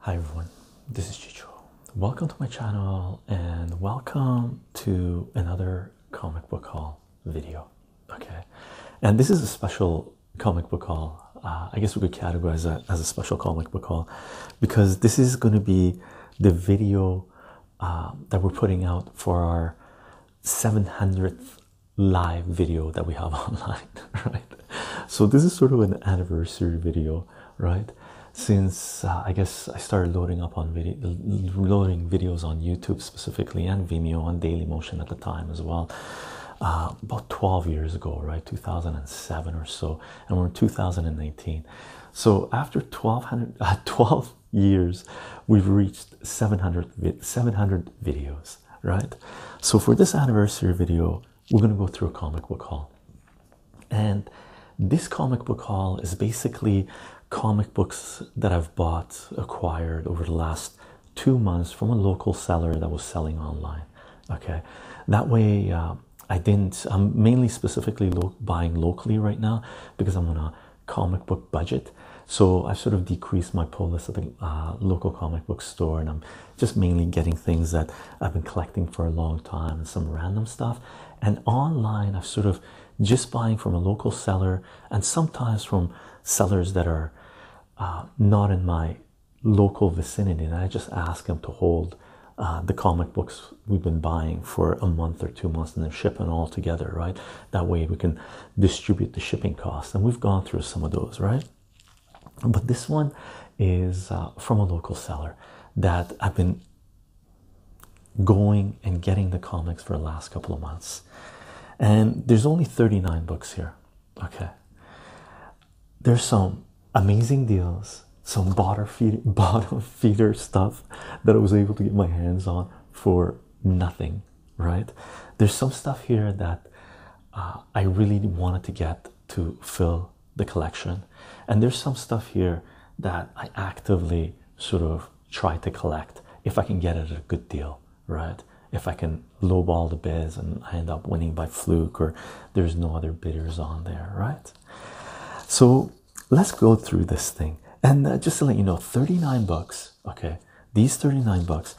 Hi everyone, this is Chicho. Welcome to my channel and welcome to another comic book haul video. Okay, and this is a special comic book haul. Uh, I guess we could categorize it as a special comic book haul because this is going to be the video um, that we're putting out for our 700th live video that we have online, right? So, this is sort of an anniversary video, right? Since uh, I guess I started loading up on video, loading videos on YouTube specifically and Vimeo on Dailymotion at the time as well, uh, about 12 years ago, right? 2007 or so, and we're in 2019. So after 1200, uh, 12 years, we've reached 700, 700 videos, right? So for this anniversary video, we're going to go through a comic book haul. And this comic book haul is basically comic books that I've bought, acquired over the last two months from a local seller that was selling online. Okay, that way uh, um, I didn't. I'm mainly specifically buying locally right now because I'm on a comic book budget. So I've sort of decreased my pull list at the uh, local comic book store, and I'm just mainly getting things that I've been collecting for a long time and some random stuff. And online, I've sort of just buying from a local seller and sometimes from sellers that are uh, not in my local vicinity, and I just ask them to hold uh, the comic books we've been buying for a month or two months and then shipping all together, right? That way we can distribute the shipping costs. And we've gone through some of those, right? But this one is uh, from a local seller that I've been going and getting the comics for the last couple of months. And there's only 39 books here. Okay. There's some amazing deals some bottom feeder, stuff that I was able to get my hands on for nothing, right? There's some stuff here that uh, I really wanted to get to fill the collection, and there's some stuff here that I actively sort of try to collect if I can get it at a good deal, right? If I can lowball the bids and I end up winning by fluke, or there's no other bidders on there, right? So let's go through this thing. And uh, just to let you know, 39 bucks, okay, these 39 bucks,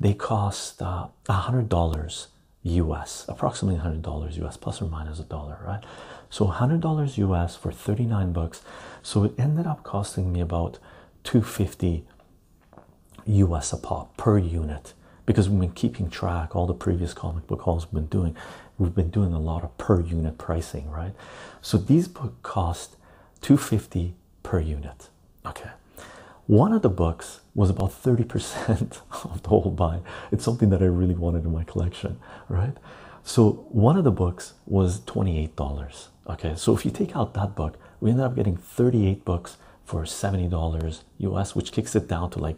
they cost uh, $100 US, approximately $100 US, plus or minus a dollar, right? So $100 US for 39 bucks. So it ended up costing me about 250 US a pop per unit because we've been keeping track all the previous comic book hauls we've been doing we've been doing a lot of per unit pricing, right? So these books cost 250 per unit. Okay. One of the books was about 30% of the whole buy. It's something that I really wanted in my collection, right? So one of the books was $28. Okay, so if you take out that book, we ended up getting 38 books for $70 US, which kicks it down to like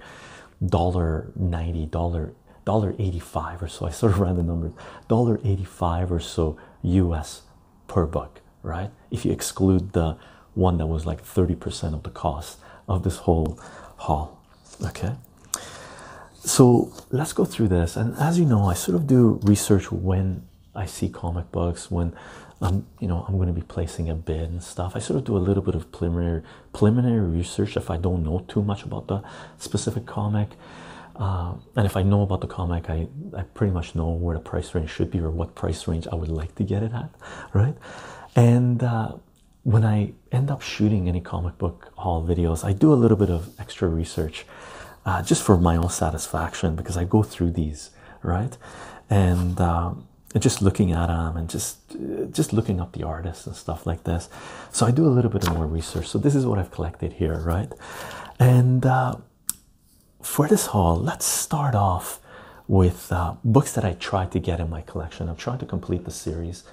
ninety dollar dollar dollar 85 or so i sort of ran the numbers dollar 85 or so us per buck, right if you exclude the one that was like 30% of the cost of this whole haul okay so let's go through this and as you know i sort of do research when i see comic books when i'm um, you know i'm going to be placing a bid and stuff i sort of do a little bit of preliminary preliminary research if I don't know too much about the specific comic. Uh, and if I know about the comic, I, I pretty much know where the price range should be or what price range I would like to get it at, right? And uh, when I end up shooting any comic book haul videos, I do a little bit of extra research uh, just for my own satisfaction because I go through these, right? And just looking at them and just just looking up the artists and stuff like this so i do a little bit more research so this is what i've collected here right and uh, for this haul let's start off with uh, books that i tried to get in my collection i'm trying to complete the series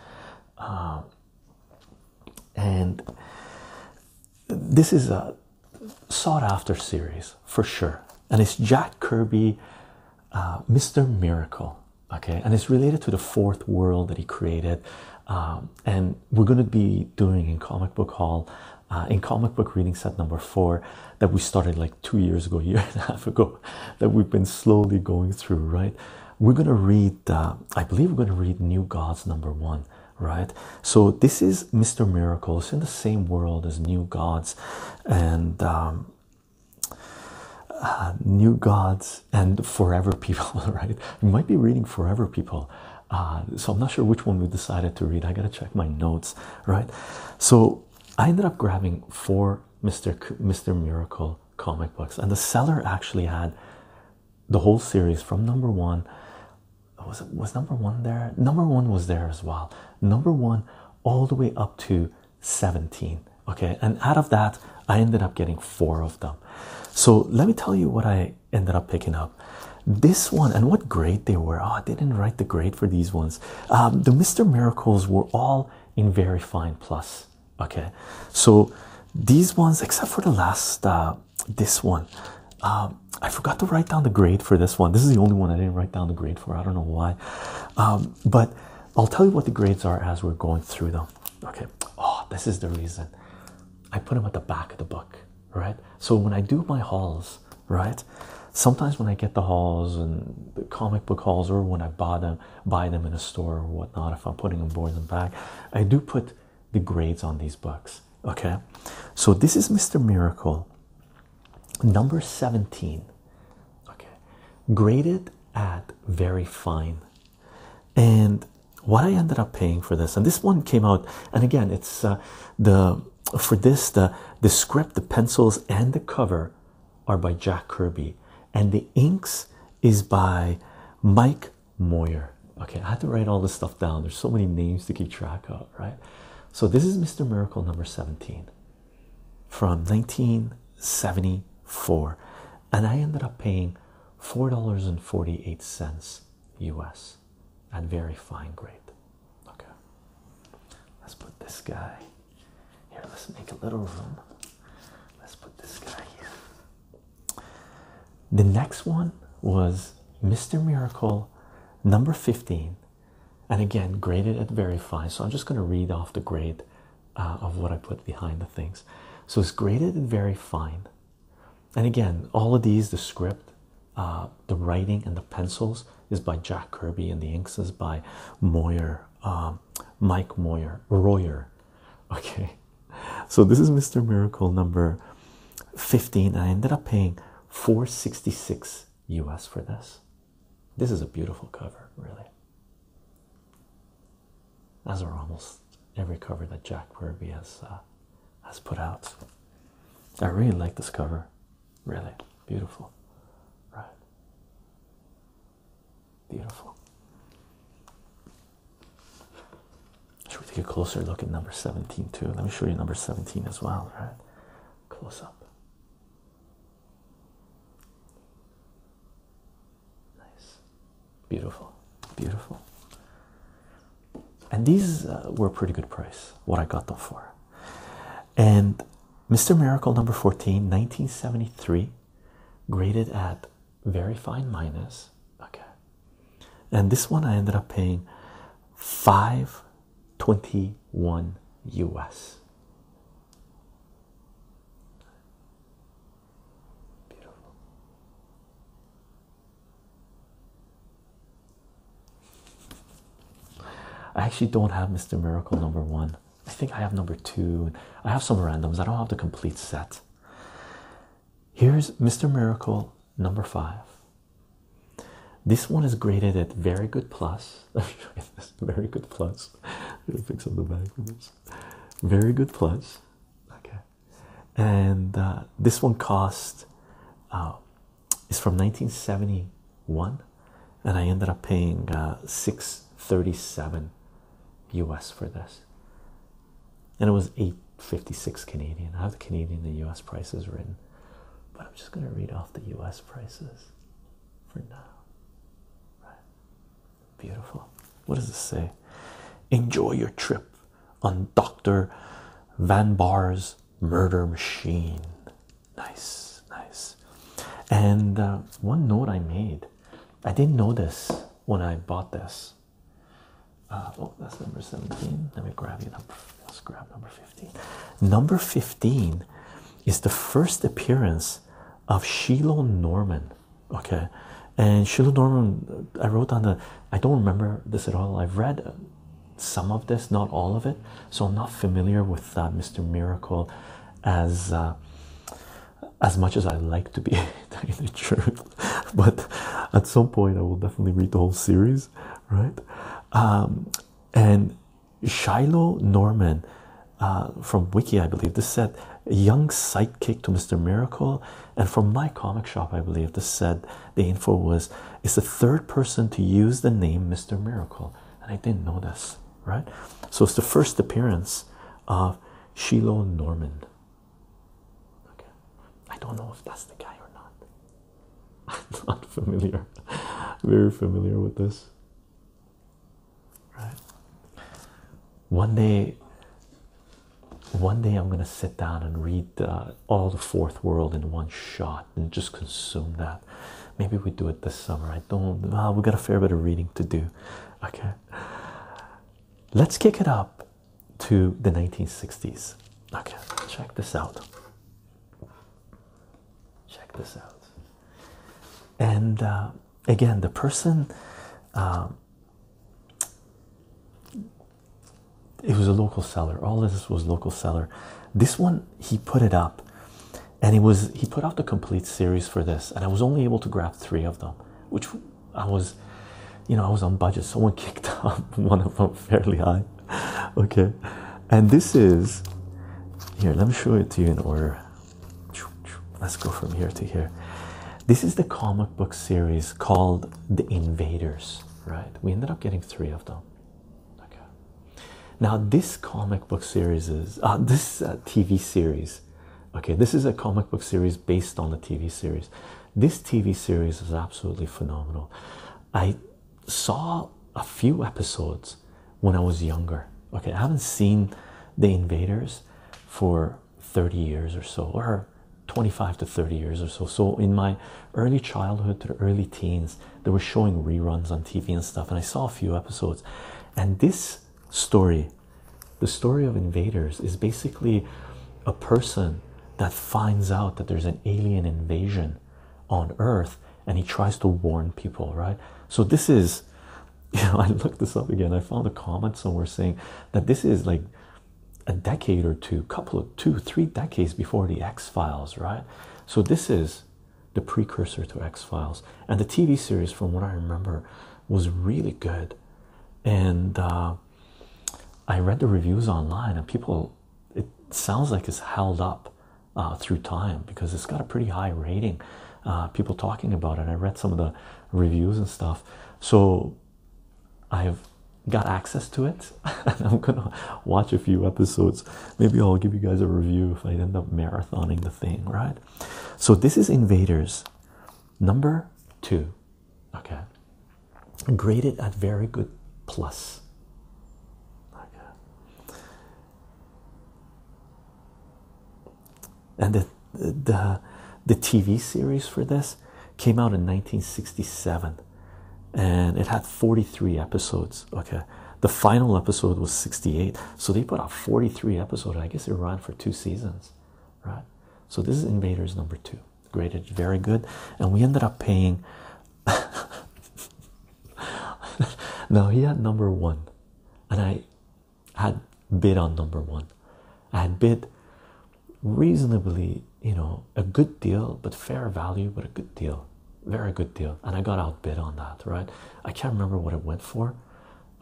uh, and this is a sought after series for sure and it's jack kirby mr miracle okay and it's related to the fourth world that he created um, and we're going to be doing in comic book hall uh, in comic book reading set number four that we started like two years ago year and a half ago that we've been slowly going through right we're going to read uh, i believe we're going to read new gods number one right so this is mr miracle it's in the same world as new gods and um, uh, new Gods and Forever People, right? You might be reading Forever People. Uh, so I'm not sure which one we decided to read. I gotta check my notes, right? So I ended up grabbing four Mr. Mr. Miracle comic books, and the seller actually had the whole series from number one. Was was number one there? Number one was there as well. Number one all the way up to 17 okay and out of that i ended up getting four of them so let me tell you what i ended up picking up this one and what grade they were oh ah, i didn't write the grade for these ones um, the mr miracles were all in very fine plus okay so these ones except for the last uh, this one um, i forgot to write down the grade for this one this is the only one i didn't write down the grade for i don't know why um, but i'll tell you what the grades are as we're going through them Okay, oh, this is the reason I put them at the back of the book, right? So when I do my hauls, right? Sometimes when I get the hauls and the comic book hauls, or when I buy them, buy them in a store or whatnot, if I'm putting them boards and back, I do put the grades on these books. Okay, so this is Mr. Miracle, number 17. Okay, graded at very fine and what I ended up paying for this, and this one came out, and again, it's uh, the for this the the script, the pencils, and the cover are by Jack Kirby, and the inks is by Mike Moyer. Okay, I had to write all this stuff down. There's so many names to keep track of, right? So this is Mr. Miracle number 17 from 1974 and I ended up paying $4.48 US at very fine grade. Okay, let's put this guy here. Let's make a little room. Let's put this guy here. The next one was Mr. Miracle number 15, and again graded at very fine. So I'm just going to read off the grade uh, of what I put behind the things. So it's graded and very fine. And again, all of these the script, uh, the writing, and the pencils is by Jack Kirby, and the inks is by Moyer, um, Mike Moyer, Royer. Okay, so this is Mr. Miracle number 15. I ended up paying 466 US for this. This is a beautiful cover, really as are almost every cover that Jack Kirby has uh, has put out. I really like this cover, really beautiful, right? Beautiful. Should we take a closer look at number 17 too? Let me show you number 17 as well, right? Close up. Nice, beautiful, beautiful. And these uh, were a pretty good price, what I got them for. And Mr. Miracle number 14, 1973, graded at very fine minus. Okay. And this one I ended up paying 521 US. I actually don't have Mr. Miracle number one. I think I have number two. I have some randoms. I don't have the complete set. Here's Mr. Miracle number five. This one is graded at very good plus. very good plus. i fix up the bag for this. Very good plus okay and uh, this one cost uh, is from 1971 and i ended up paying uh, 637 us for this and it was 856 canadian i have the canadian and us prices written but i'm just going to read off the us prices for now right Beautiful. What does this say? Enjoy your trip on Dr. Van Bar's murder machine. Nice, nice. And uh, one note I made I didn't know this when I bought this. Uh, oh, that's number 17. Let me grab you. Number, let's grab number 15. Number 15 is the first appearance of Shiloh Norman okay and sheila norman i wrote on the i don't remember this at all i've read some of this not all of it so i'm not familiar with uh, mr miracle as uh, as much as i like to be the truth but at some point i will definitely read the whole series right um, and shiloh norman uh, from wiki i believe this said young sidekick to mr miracle and from my comic shop, I believe this said the info was it's the third person to use the name Mr. Miracle, and I didn't know this, right? So it's the first appearance of Shiloh Norman. Okay, I don't know if that's the guy or not. I'm not familiar, very familiar with this right one day one day i'm going to sit down and read all the fourth world in one shot and just consume that maybe we do it this summer i don't well, we got a fair bit of reading to do okay let's kick it up to the 1960s okay check this out check this out and uh, again the person um, it was a local seller. All of this was local seller. This one he put it up, and it was he put out the complete series for this, and I was only able to grab three of them, which I was, you know, I was on budget. Someone kicked up one of them fairly high. Okay, and this is here. Let me show it to you in order. Let's go from here to here. This is the comic book series called The Invaders, right? We ended up getting three of them. Okay. Now, this comic book series is uh, this uh, TV series. Okay, this is a comic book series based on the TV series. This TV series is absolutely phenomenal. I saw a few episodes when I was younger. Okay, I haven't seen The Invaders for 30 years or so, or 25 to 30 years or so. So, in my early childhood to early teens, they were showing reruns on TV and stuff, and I saw a few episodes. And this story, the story of invaders, is basically a person that finds out that there's an alien invasion on Earth and he tries to warn people, right? So, this is you know, I looked this up again. I found a comment somewhere saying that this is like a decade or two, couple of two, three decades before the X Files, right? So this is the precursor to X Files, and the TV series, from what I remember, was really good. And uh, I read the reviews online, and people, it sounds like it's held up uh, through time because it's got a pretty high rating. Uh, people talking about it. I read some of the reviews and stuff. So I've got access to it, and I'm gonna watch a few episodes. Maybe I'll give you guys a review if I end up marathoning the thing, right? So, this is Invaders number two, okay, graded at very good plus. Okay and the the the TV series for this came out in 1967 and it had 43 episodes okay the final episode was 68 so they put out 43 episodes i guess it ran for two seasons right so this is invaders number two graded very good and we ended up paying Now he had number one and i had bid on number one. I had bid reasonably, you know, a good deal, but fair value, but a good deal, very good deal. And I got outbid on that, right? I can't remember what it went for.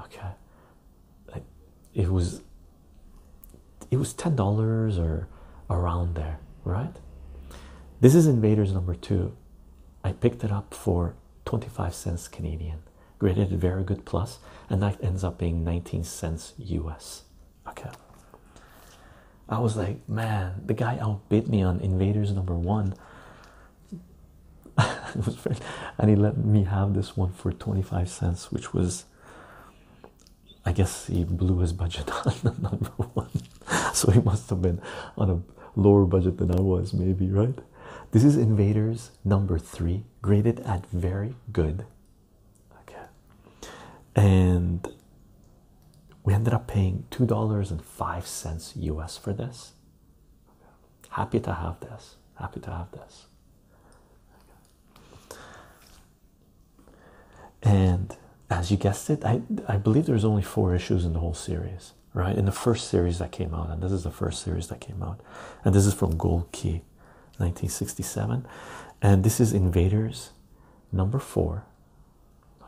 Okay, it was it was ten dollars or around there, right? This is Invaders number two. I picked it up for 25 cents Canadian graded very good plus, and that ends up being 19 cents US. Okay, I was like, man, the guy outbid me on Invaders number one. it was and he let me have this one for 25 cents, which was, I guess, he blew his budget on the number one, so he must have been on a lower budget than I was, maybe, right? This is Invaders number three, graded at very good okay and we ended up paying two dollars and five cents us for this happy to have this happy to have this and as you guessed it i i believe there's only four issues in the whole series right in the first series that came out and this is the first series that came out and this is from gold key 1967 and this is invaders number four oh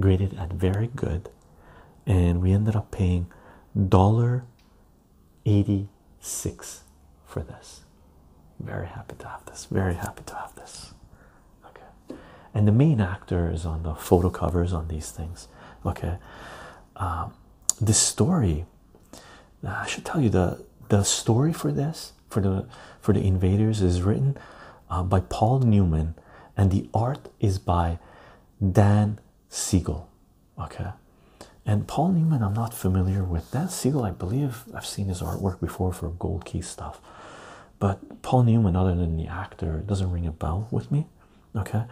graded at very good and we ended up paying dollar 86 for this very happy to have this very happy to have this okay and the main actor is on the photo covers on these things okay um, this story uh, I should tell you the the story for this for the for the invaders is written uh, by Paul Newman and the art is by Dan Siegel. Okay, and Paul Newman I'm not familiar with. Dan Siegel I believe I've seen his artwork before for Gold Key stuff, but Paul Newman other than the actor doesn't ring a bell with me. Okay,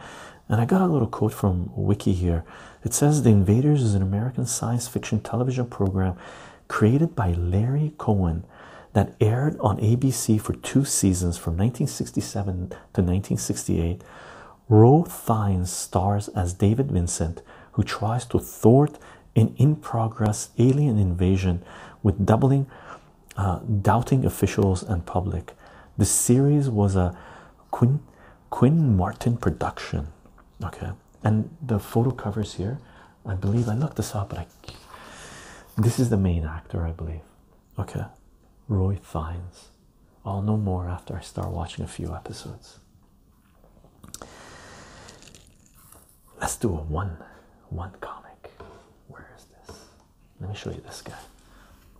and I got a little quote from Wiki here. It says The Invaders is an American science fiction television program created by Larry Cohen that aired on ABC for two seasons from 1967 to 1968. Ro Thine stars as David Vincent, who tries to thwart an in progress alien invasion with doubling, uh, doubting officials and public. The series was a quint Quinn Martin production. Okay, and the photo covers here. I believe I looked this up, but I this is the main actor, I believe. Okay, Roy Thines. I'll know more after I start watching a few episodes. Let's do a one one comic. Where is this? Let me show you this guy.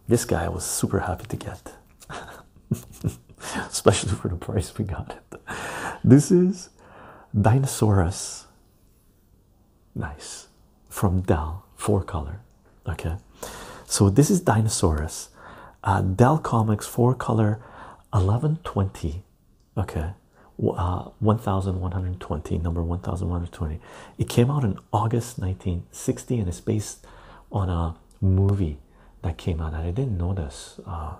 This guy I was super happy to get. especially for the price we got it. This is Dinosaurus. Nice. From Dell, four color. Okay. So this is Dinosaurus. Uh, Dell Comics, four color, 1120. Okay. Uh, 1120, number 1120. It came out in August 1960 and it's based on a movie that came out, I didn't notice uh,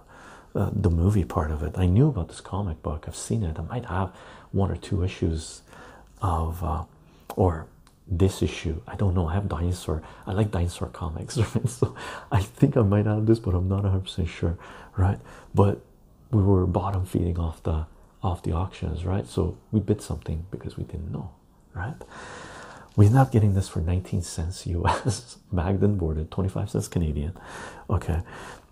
uh, the movie part of it. I knew about this comic book. I've seen it. I might have one or two issues of, uh, or this issue. I don't know. I have dinosaur. I like dinosaur comics, right? So I think I might have this, but I'm not 100 percent sure, right? But we were bottom feeding off the off the auctions, right? So we bid something because we didn't know right? We are not getting this for 19 cents US, bagged and boarded, 25 cents Canadian. Okay,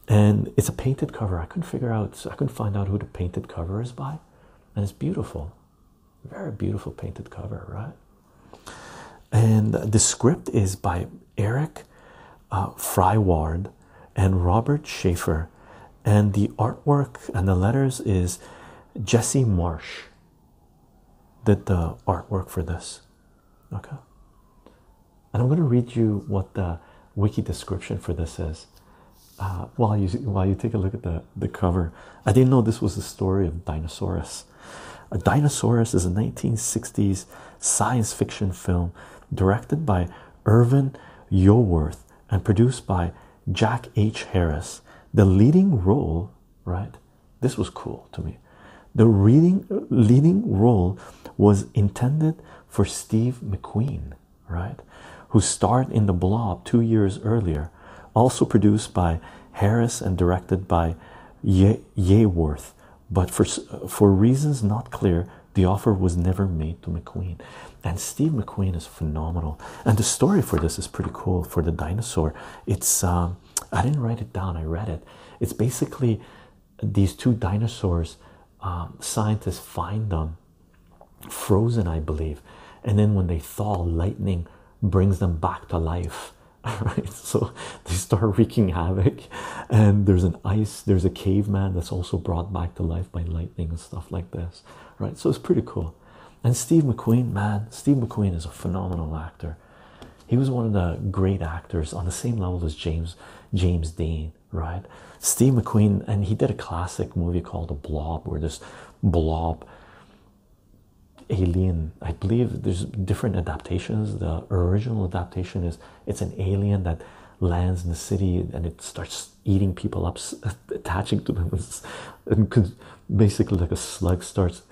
and it's a painted cover. I couldn't figure out, I couldn't find out who the painted cover is by, and it's beautiful, very beautiful painted cover, right? And the script is by Eric uh, Fryward and Robert Schaefer, and the artwork and the letters is Jesse Marsh did the artwork for this. Okay. And I'm going to read you what the wiki description for this says. Uh, while you while you take a look at the the cover, I didn't know this was the story of Dinosaurus. A Dinosaurus is a 1960s science fiction film directed by Irvin Yoworth and produced by Jack H. Harris. The leading role, right, this was cool to me. The reading, leading role was intended for Steve McQueen, right? Who starred in The Blob two years earlier, also produced by Harris and directed by Ye Yeworth. But for, for reasons not clear, the offer was never made to McQueen. And Steve McQueen is phenomenal. And the story for this is pretty cool for the dinosaur. It's um, I didn't write it down, I read it. It's basically these two dinosaurs, um, scientists find them frozen, I believe, and then when they thaw, lightning brings them back to life. Right, so they start wreaking havoc, and there's an ice, there's a caveman that's also brought back to life by lightning and stuff like this, right? So it's pretty cool. And Steve McQueen, man, Steve McQueen is a phenomenal actor. He was one of the great actors on the same level as James James Dean, right? Steve McQueen, and he did a classic movie called The Blob, where this blob alien, I believe there's different adaptations. The original adaptation is it's an alien that lands in the city and it starts eating people up, attaching to them, and basically like a slug starts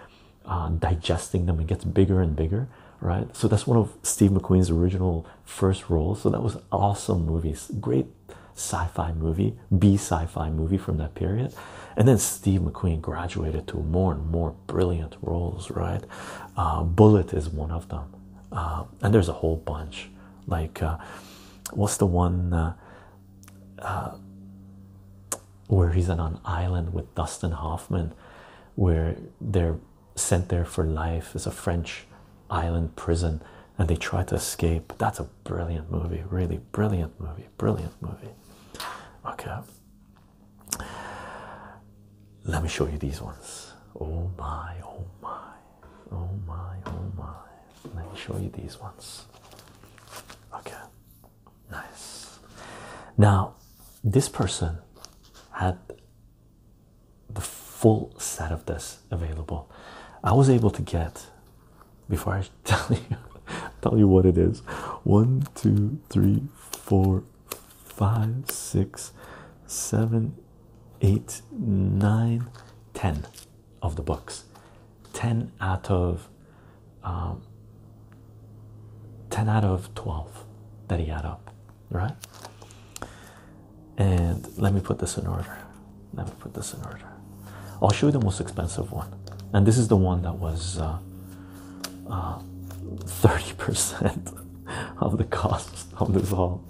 um, digesting them. It gets bigger and bigger, right? So that's one of Steve McQueen's original first roles. So that was awesome movies, great sci-fi movie, B sci-fi movie from that period. And then Steve McQueen graduated to more and more brilliant roles, right? Uh, Bullet is one of them, uh, and there's a whole bunch. Like, uh, what's the one? where he's on an island with Dustin Hoffman, where they're sent there for life. as a French island prison, and they try to escape. That's a brilliant movie, really brilliant movie, brilliant movie. Okay, let me show you these ones. Oh my, oh my, oh my, oh my. Let me show you these ones. Okay. Nice. Now, this person had the full set of this available. I was able to get before I tell you tell you what it is. One, two, three, four, five, six, seven, eight, nine, ten of the books. 10 out of um, 10 out of 12 that he had up right and let me put this in order let me put this in order i'll show you the most expensive one and this is the one that was 30% uh, uh, of the cost of this haul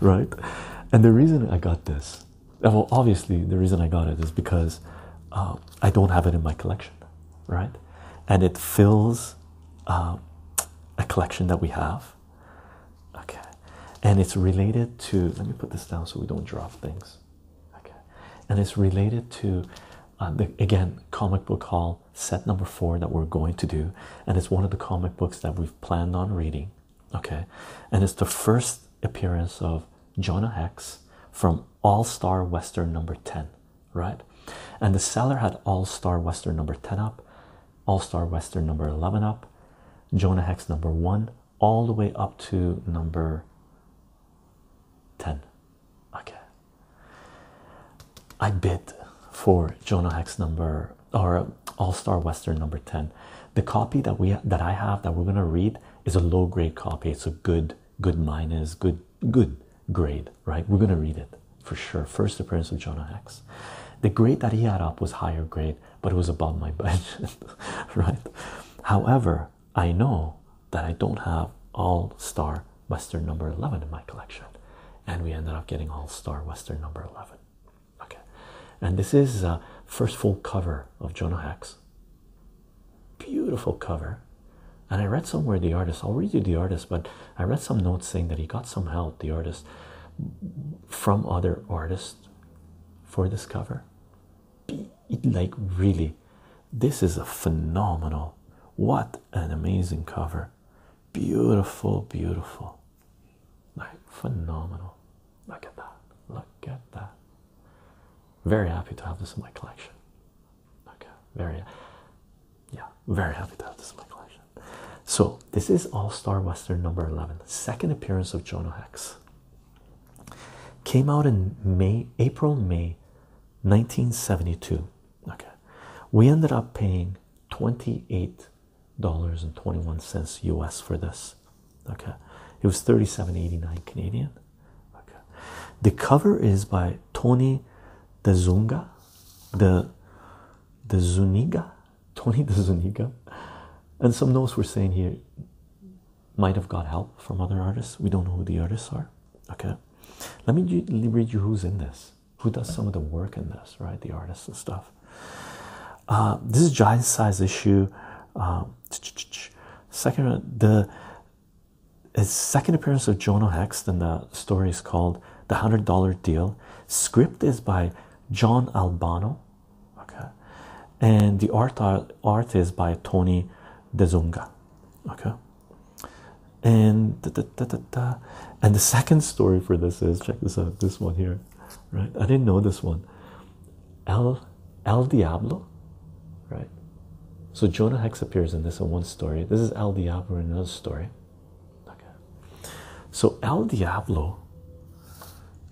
right and the reason i got this well obviously the reason i got it is because uh, i don't have it in my collection right? And it fills um, a collection that we have. Okay. And it's related to, let me put this down so we don't drop things. Okay. And it's related to, uh, the, again, comic book haul set number four that we're going to do. And it's one of the comic books that we've planned on reading. Okay. And it's the first appearance of Jonah Hex from All Star Western number 10, right? And the seller had All Star Western number 10 up, All Star Western number 11 up, Jonah Hex number 1, all the way up to number 10. Okay. I bid for Jonah Hex number or All Star Western number 10. The copy that we that I have that we're gonna read is a low grade copy. It's a good good minus, good good grade, right? We're gonna read it for sure. First appearance of Jonah Hex. The grade that he had up was higher grade, but it was above my budget, right? However, I know that I don't have all star Western number 11 in my collection, and we ended up getting all star Western number 11. Okay, and this is uh, first full cover of Jonah Hex. Beautiful cover. And I read somewhere the artist, I'll read you the artist, but I read some notes saying that he got some help, the artist, from other artists for this cover. Like, really, this is a phenomenal, what an amazing cover! Beautiful, beautiful, like, phenomenal. Look at that, look at that. Very happy to have this in my collection. Okay, very, yeah, very happy to have this in my collection. So, this is All Star Western number 11, second appearance of Jonah Hex. Came out in May, April, May 1972. Okay, we ended up paying $28.21 US for this. Okay, it was 37.89 Canadian. Okay. The cover is by Tony De Zunga, the the Zuniga, Tony De Zuniga, and some notes we're saying here might have got help from other artists. We don't know who the artists are. Okay, let me read you who's in this, who does some of the work in this, right? The artists and stuff. Uh, this is giant size issue. Uh, second, uh, the his second appearance of Jonah in The story is called The Hundred Dollar Deal. Script is by John Albano, okay, and the art uh, art is by Tony Dezunga, okay. And da, da, da, da, da. and the second story for this is check this out. This one here, right? I didn't know this one. L El Diablo, right? So Jonah Hex appears in this in one story. This is El Diablo in another story. Okay. So El Diablo,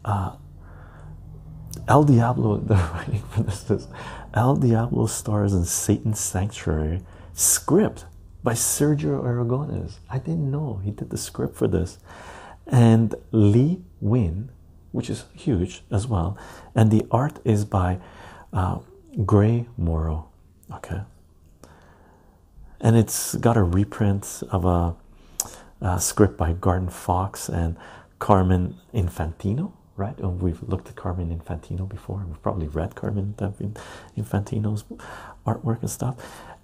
uh, El Diablo, the writing for this is El Diablo stars in Satan's Sanctuary script by Sergio Aragones. I didn't know he did the script for this. And Lee Win which is huge as well. And the art is by uh, Gray Morrow. Okay. And it's got a reprint of a, script by Garden Fox and Carmen Infantino, right? And we've looked at Carmen Infantino before. We've probably read Carmen Infantino's artwork and stuff.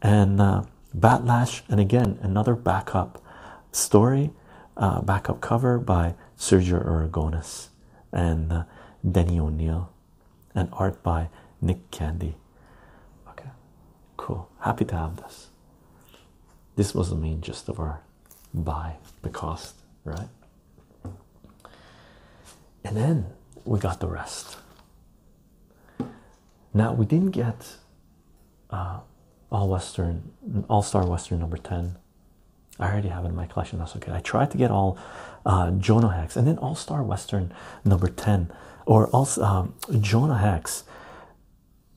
And uh, and again, another backup story, uh, backup cover by Sergio Aragonis and uh, Denny O'Neill, and art by Nick Candy. Okay, cool. Happy to have this. This was the main gist of our buy, the cost, right? And then we got the rest. Now we didn't get uh, all Western, All Star Western number 10 I already have in my collection. That's okay. I tried to get all uh, Jonah Hex and then All Star Western number 10 or also um, Jonah Hex.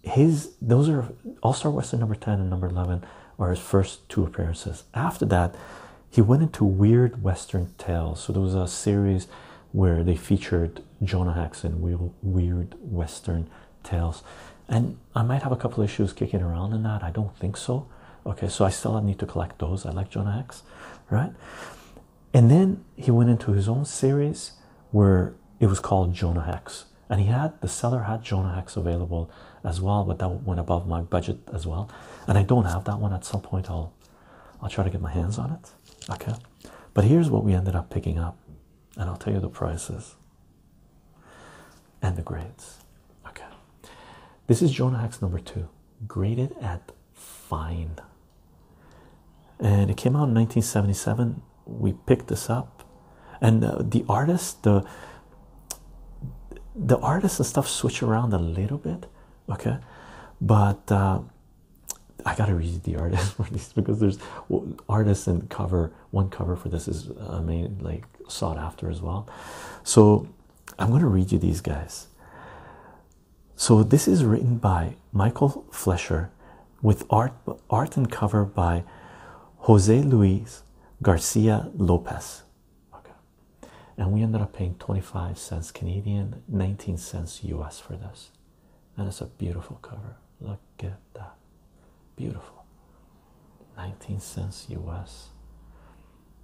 His those are All Star Western number 10 and number 11 are his first two appearances. After that, he went into weird Western tales. So there was a series where they featured Jonah Hex in weird Western tales, and I might have a couple issues kicking around in that. I don't think so. Okay, so I still need to collect those. I like Jonah X, right? And then he went into his own series where it was called Jonah X, and he had the seller had Jonah X available as well, but that went above my budget as well. And I don't have that one. At some point, I'll I'll try to get my hands on it. Okay, but here's what we ended up picking up, and I'll tell you the prices and the grades. Okay, this is Jonah Hex number two, graded at fine, and it came out in 1977. We picked this up, and uh, the artist, the the artists and stuff switch around a little bit, okay, but. Uh, I gotta read the artist for these because there's artists and cover one cover for this is I uh, mean like sought after as well. So I'm going to read you these guys. So this is written by Michael Fleischer, with art art and cover by Jose Luis Garcia Lopez. And we ended up paying 25 cents Canadian, 19 cents US for this. And it's a beautiful cover. Look at that. Beautiful. 19 cents US.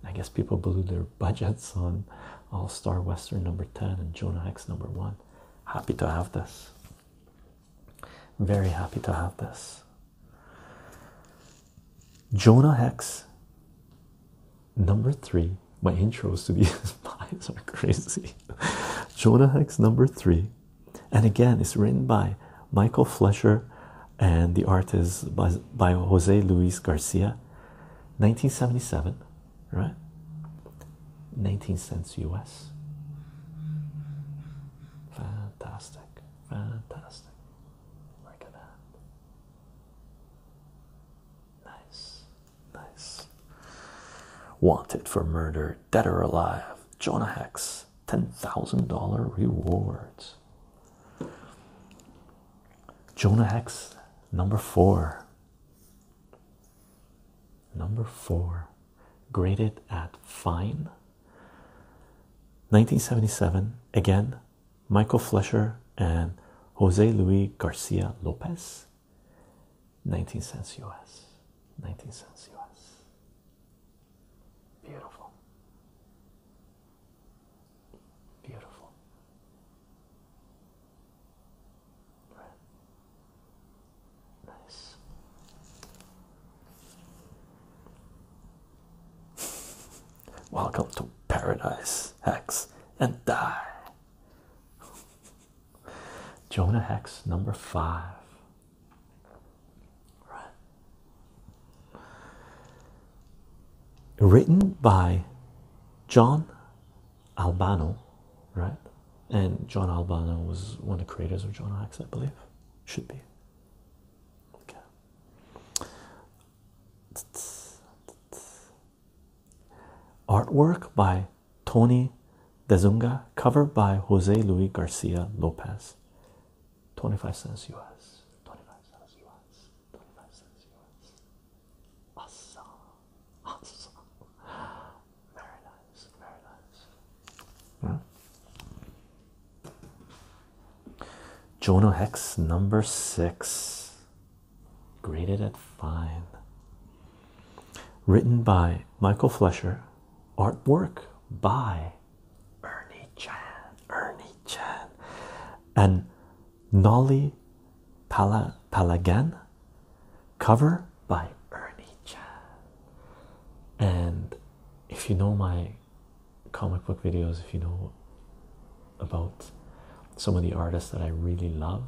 I guess people blew their budgets on All Star Western number 10 and Jonah Hex number 1. Happy to have this. Very happy to have this. Jonah Hex number 3. My intros to these pies are crazy. Jonah Hex number 3. And again, it's written by Michael Flesher, and the art is by, Jose Luis Garcia, 1977, right? 19 cents US. Fantastic, fantastic. Look at that. Nice, nice. Wanted for murder, dead or alive, Jonah Hex. $10,000 rewards. Jonah Hex, number four. Number four, graded at fine. 1977, again, Michael Fleischer and Jose Luis Garcia Lopez. 19 cents US. 19 cents US. Beautiful. Beautiful. Right. Nice. Welcome to paradise, Hex, and die. Jonah Hex number five. Written by John Albano, right? And John Albano was one of the creators of John Axe, I believe. Should be. Okay. Artwork by Tony Dezunga, cover by Jose Luis Garcia Lopez. 25 cents US. 25 cents US. 25 cents US. Awesome. Awesome. Very nice. Very hmm. Jono Hex number six, graded at fine. Written by Michael Flesher, artwork by Ernie Chan, Ernie Chan, and Nolly Pala Palagan, cover by Ernie Chan. And if you know my comic book videos, if you know about some of the artists that I really love,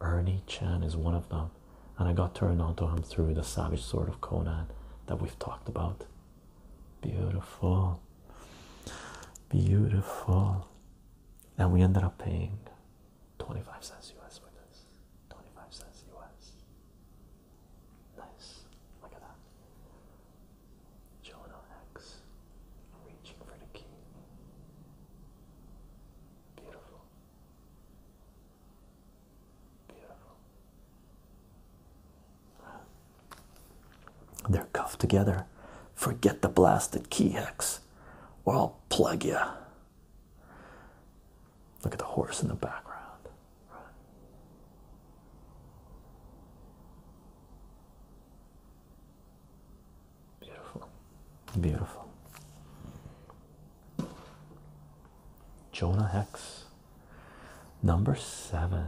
Ernie Chan is one of them. And I got turned on to him through the Savage Sword of Conan that we've talked about Beautiful. Beautiful. And we ended up paying 25 cents US for this. 25 cents US. Nice. Look at that. Jonah X reaching for the key. Beautiful. Beautiful. They're cuffed together. Forget the blasted key hex, or I'll plug you. Look at the horse in the background. Beautiful, beautiful. Jonah Hex. Number seven.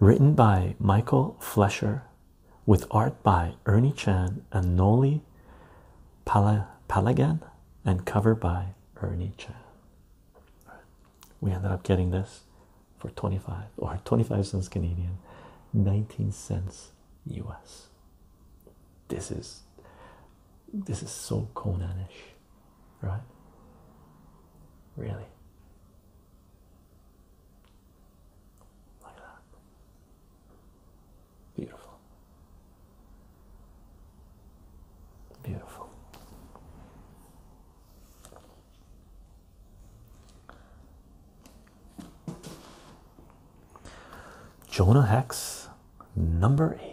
Written by Michael Flesher with art by Ernie Chan and Noli Palagan and cover by Ernie Chan. We ended up getting this for 25 or 25 cents Canadian, 19 cents US. This is this is so Conan-ish, right? Really. Like that. Beautiful. Beautiful. Jonah Hex, number eight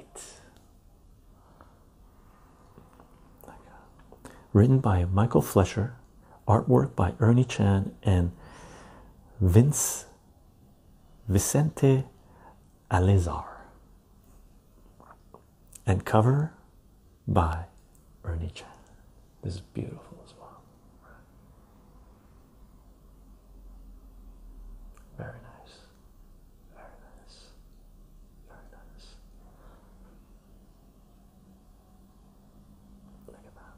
written by Michael Fletcher, artwork by Ernie Chan and Vince Vicente Alizar, and cover by Ernie Chan. This is beautiful as well. Very nice. Very nice. Very nice. Look at that.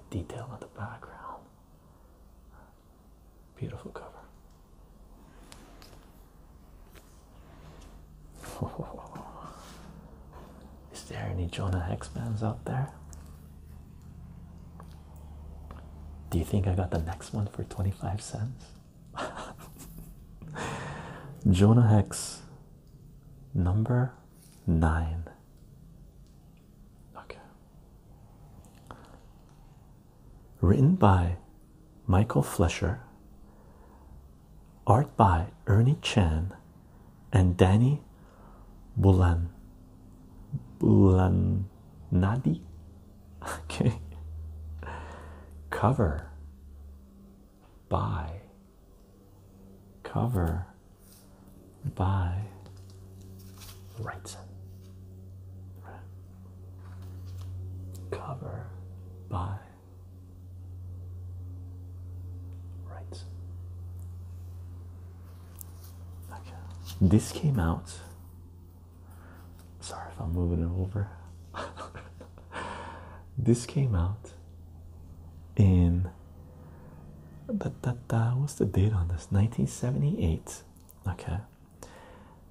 The detail on the background. Beautiful cover. Is there any Jonah Hex fans out there? Do you think I got the next one for 25 cents? Jonah Hex number nine. Okay. Written by Michael Flesher, art by Ernie Chan and Danny Bulan Bulanadi. Okay. Cover by cover by Wrightson. Cover by Wrightson. Okay. This came out. Sorry if I'm moving it over. this came out in uh, what's the date on this 1978 okay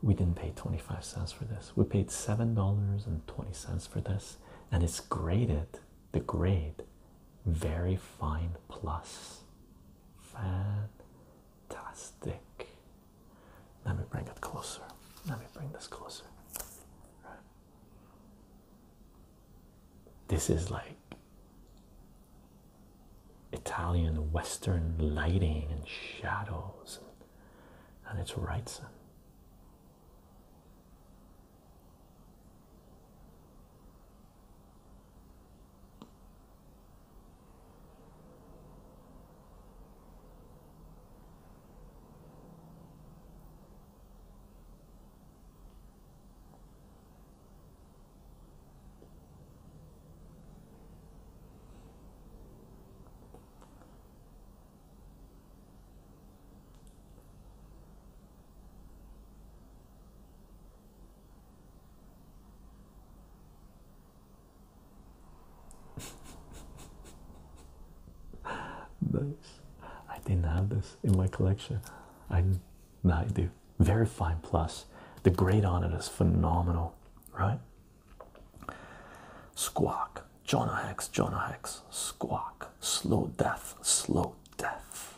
we didn't pay 25 cents for this we paid seven dollars and 20 cents for this and it's graded the grade very fine plus fantastic let me bring it closer let me bring this closer this is like Italian Western lighting and shadows, and it's right Wrightson nice. I didn't have this in my collection. I now I do. Very fine plus. The grade on it is phenomenal, right? Squawk. Jonah Hex, Jonah Hex, squawk. Slow death, slow death.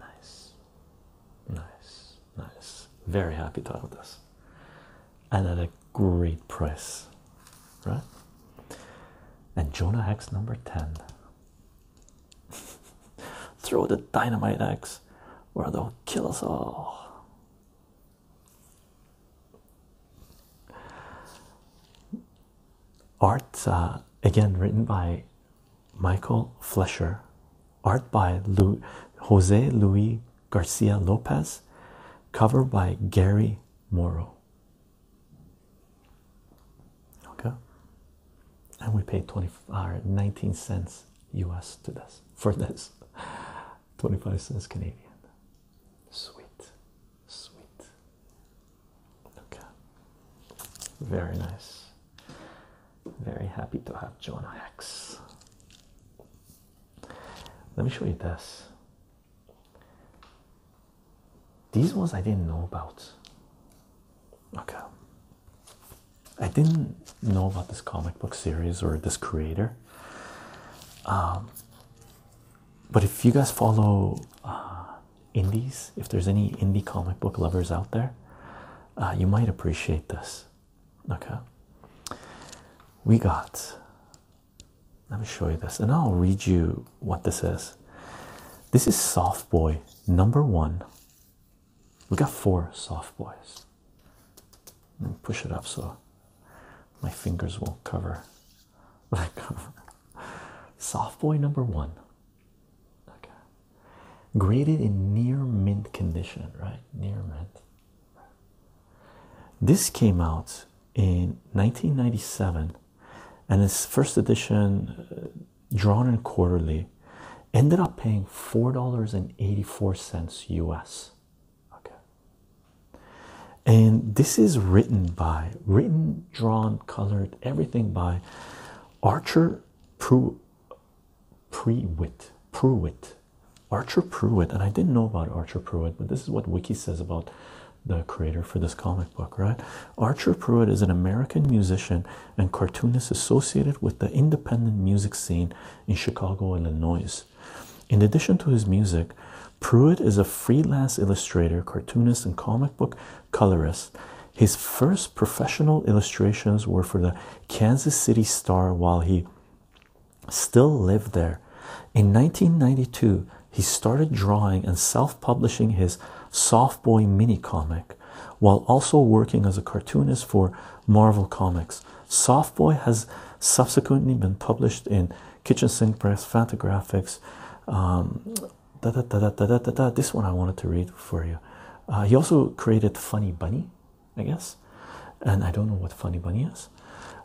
Nice, nice, nice. Very happy to have this and at a great price, right? And Jonah Hex number 10. Throw the dynamite X or they'll kill us all. Art uh, again written by Michael Fleischer, art by Lu Jose Luis Garcia Lopez, cover by Gary Moro. Okay, and we paid 20 or uh, 19 cents US to this for this 25 cents Canadian. Sweet, sweet. Okay, very nice. Very happy to have Jonah X. Let me show you this. These ones I didn't know about. Okay. I didn't know about this comic book series or this creator. Um, but if you guys follow uh, indies, if there's any indie comic book lovers out there, uh, you might appreciate this. Okay. We got let me show you this and I'll read you what this is. This is Soft Boy number one. We got four Soft Boys. Let me push it up so my fingers won't cover Soft Boy number one. Okay. Graded in near mint condition, right? Near mint. This came out in 1997 and its first edition, uh, drawn and quarterly, ended up paying $4.84 US. Okay. And this is written by, written, drawn, colored, everything by Archer Prewitt, Prewitt. Archer Prewitt. And I didn't know about Archer Prewitt, but this is what Wiki says about the creator for this comic book, right? Archer Pruitt is an American musician and cartoonist associated with the independent music scene in Chicago, Illinois. In addition to his music, Pruitt is a freelance illustrator, cartoonist, and comic book colorist. His first professional illustrations were for the Kansas City Star while he still lived there. In 1992, he started drawing and self publishing his Soft Boy mini comic while also working as a cartoonist for Marvel Comics. Soft Boy has subsequently been published in Kitchen Sink Press, Fantagraphics. Um, da, da, da, da, da, da, da. This one I wanted to read for you. Uh, he also created Funny Bunny, I guess, and I don't know what Funny Bunny is.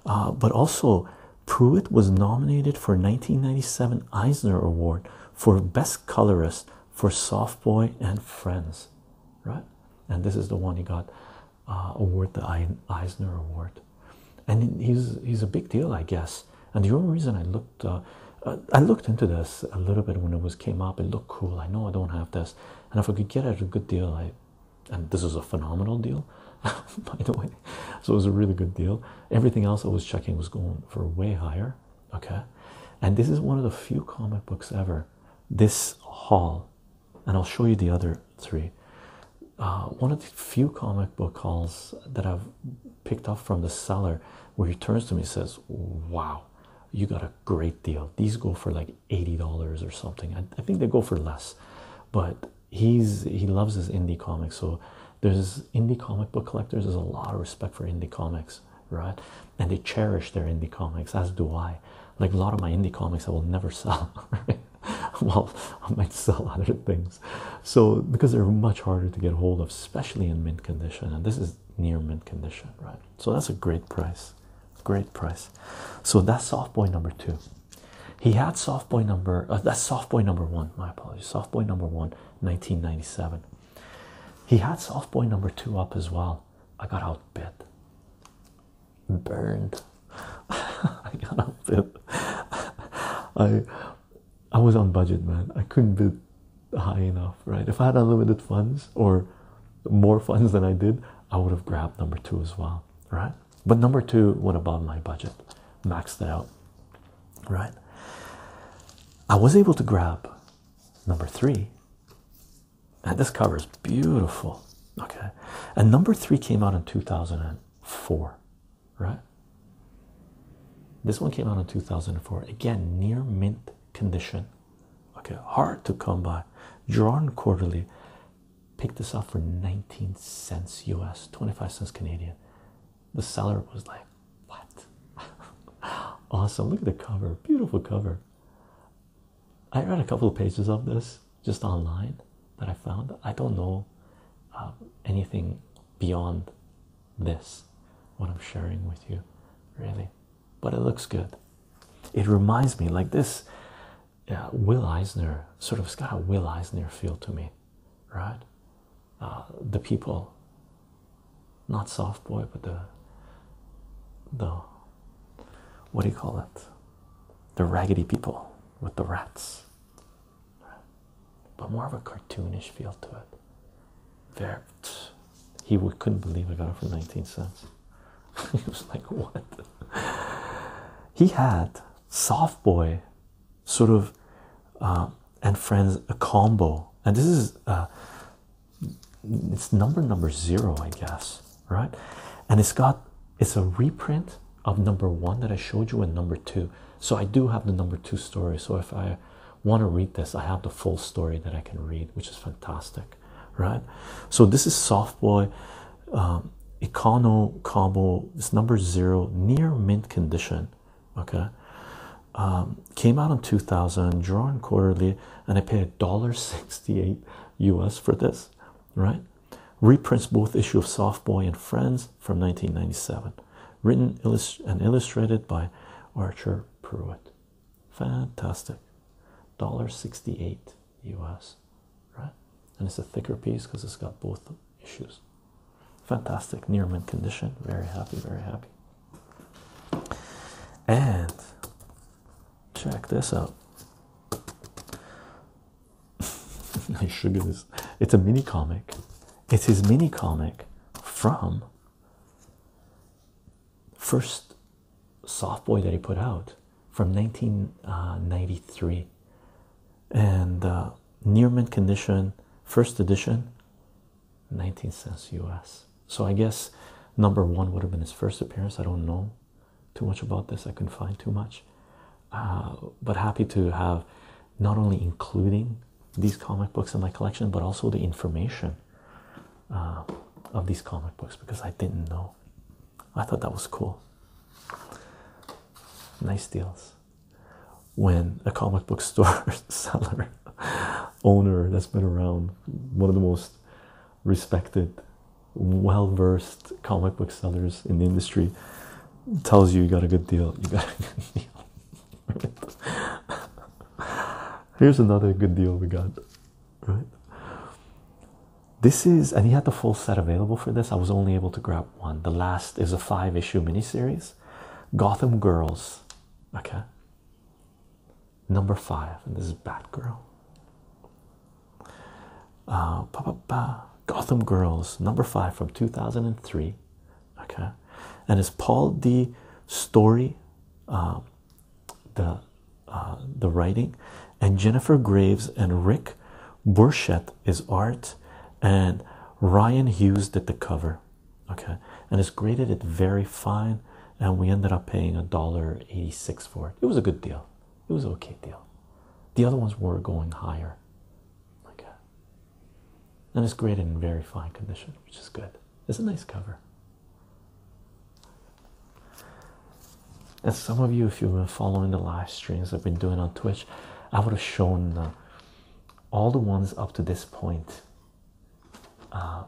Uh, but also, Pruitt was nominated for 1997 Eisner Award for Best Colorist for Soft Boy and Friends, right? And this is the one he got uh, award the Eisner Award, and he's he's a big deal, I guess. And the only reason I looked uh, I looked into this a little bit when it was came up, it looked cool. I know I don't have this, and if I could get it a good deal, I and this is a phenomenal deal by the way so it was a really good deal everything else i was checking was going for way higher okay and this is one of the few comic books ever this haul and i'll show you the other three uh, one of the few comic book hauls that i've picked up from the seller where he turns to me and says wow you got a great deal these go for like $80 or something I think they go for less but he's he loves his indie comics. So there's indie comic book collectors. There's a lot of respect for indie comics, right? And they cherish their indie comics, as do I. Like a lot of my indie comics, I will never sell. well, I might sell other things. So because they're much harder to get hold of, especially in mint condition, and this is near mint condition, right? So that's a great price, great price. So that's soft boy number two. He had soft boy number uh, that's soft boy number one. My apologies, soft boy number one, 1997. He had soft boy number two up as well. I got outbid, burned. I got outbid. I I was on budget, man. I couldn't bid high enough, right? If I had unlimited funds or more funds than I did, I would have grabbed number two as well, right? but number two went above my budget, maxed it out. Right, I was able to grab number three, and this cover is beautiful. Okay, and number three came out in 2004, right? This one came out in 2004 again, near mint condition. Okay, hard to come by, drawn quarterly, picked this up for 19 cents US, 25 cents Canadian. The seller was like, What? awesome. Look at the cover, beautiful cover. I read a couple of pages of this just online that I found. I don't know um, anything beyond this, what I'm sharing with you, really. But it looks good. It reminds me, like this, yeah, Will Eisner, sort of, it got a Will Eisner feel to me, right? Uh, the people, not soft boy, but the the what do you call it? The raggedy people with the rats, but more of a cartoonish feel to it. There, he couldn't believe I got it for 19 cents. he was like, What? he had Soft Boy sort of uh, and friends a combo and this is uh, it's number number zero i guess right and it's got it's a reprint of number one that i showed you and number two so i do have the number two story so if i want to read this i have the full story that i can read which is fantastic right so this is soft boy um, Econo Combo, this number zero, near mint condition. Okay, um, came out in 2000, drawn quarterly, and I paid $1.68 US for this, right? Reprints both issue of Soft Boy and Friends from 1997, written and illustrated by Archer Pruitt. Fantastic, $1.68 US right? And it's a thicker piece because it's got both issues. Fantastic, near mint condition. Very happy, very happy. And check this out. I sugar It's a mini comic. It's his mini comic from first soft boy that he put out from 1993 uh, and uh, near condition, first edition, 19 cents US. So I guess number one would have been his first appearance. I don't know too much about this, I couldn't find too much. Uh, but happy to have not only including these comic books in my collection, but also the information uh, of these comic books because I didn't know. I thought that was cool. Nice deals when a comic book store seller owner that's been around, one of the most respected, well versed comic book sellers in the industry, tells you you got a good deal, you got a good deal. Here's another good deal we got, right? This is, and he had the full set available for this. I was only able to grab one. The last is a five issue miniseries. Gotham Girls, okay. Number five, and this is Batgirl. Uh, bah, bah, Gotham Girls, number five from 2003, okay. And it's Paul D. Story, um, the uh, the writing, and Jennifer Graves and Rick Burchett is art, and Ryan Hughes did the cover, okay, and it's graded it very fine, and we ended up paying a dollar eighty-six for it. It was a good deal. It was okay deal. The other ones were going higher, okay, and it's graded in very fine condition, which is good. It's a nice cover. And some of you, if you've been following the live streams I've been doing on Twitch, I would have shown. Uh, all the ones up to this uh,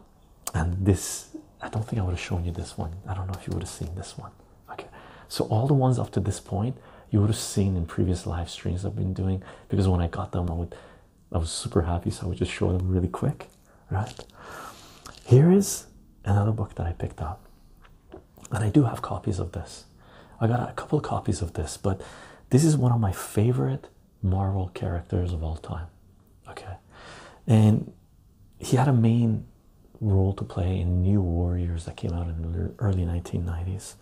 and this, I don't think I would have shown you this one. I don't know if you would have seen this one. Okay, so all the ones up to this point you would have seen in previous live streams I've been doing because when I got them, I would, I was super happy, so I would just show them really quick. Right here is another book that I picked up and I do have copies of this. I got a couple copies of this, but this is one of my favorite Marvel characters of all time. Okay, and he had a main role to play in New Warriors that came out in the early 1990s.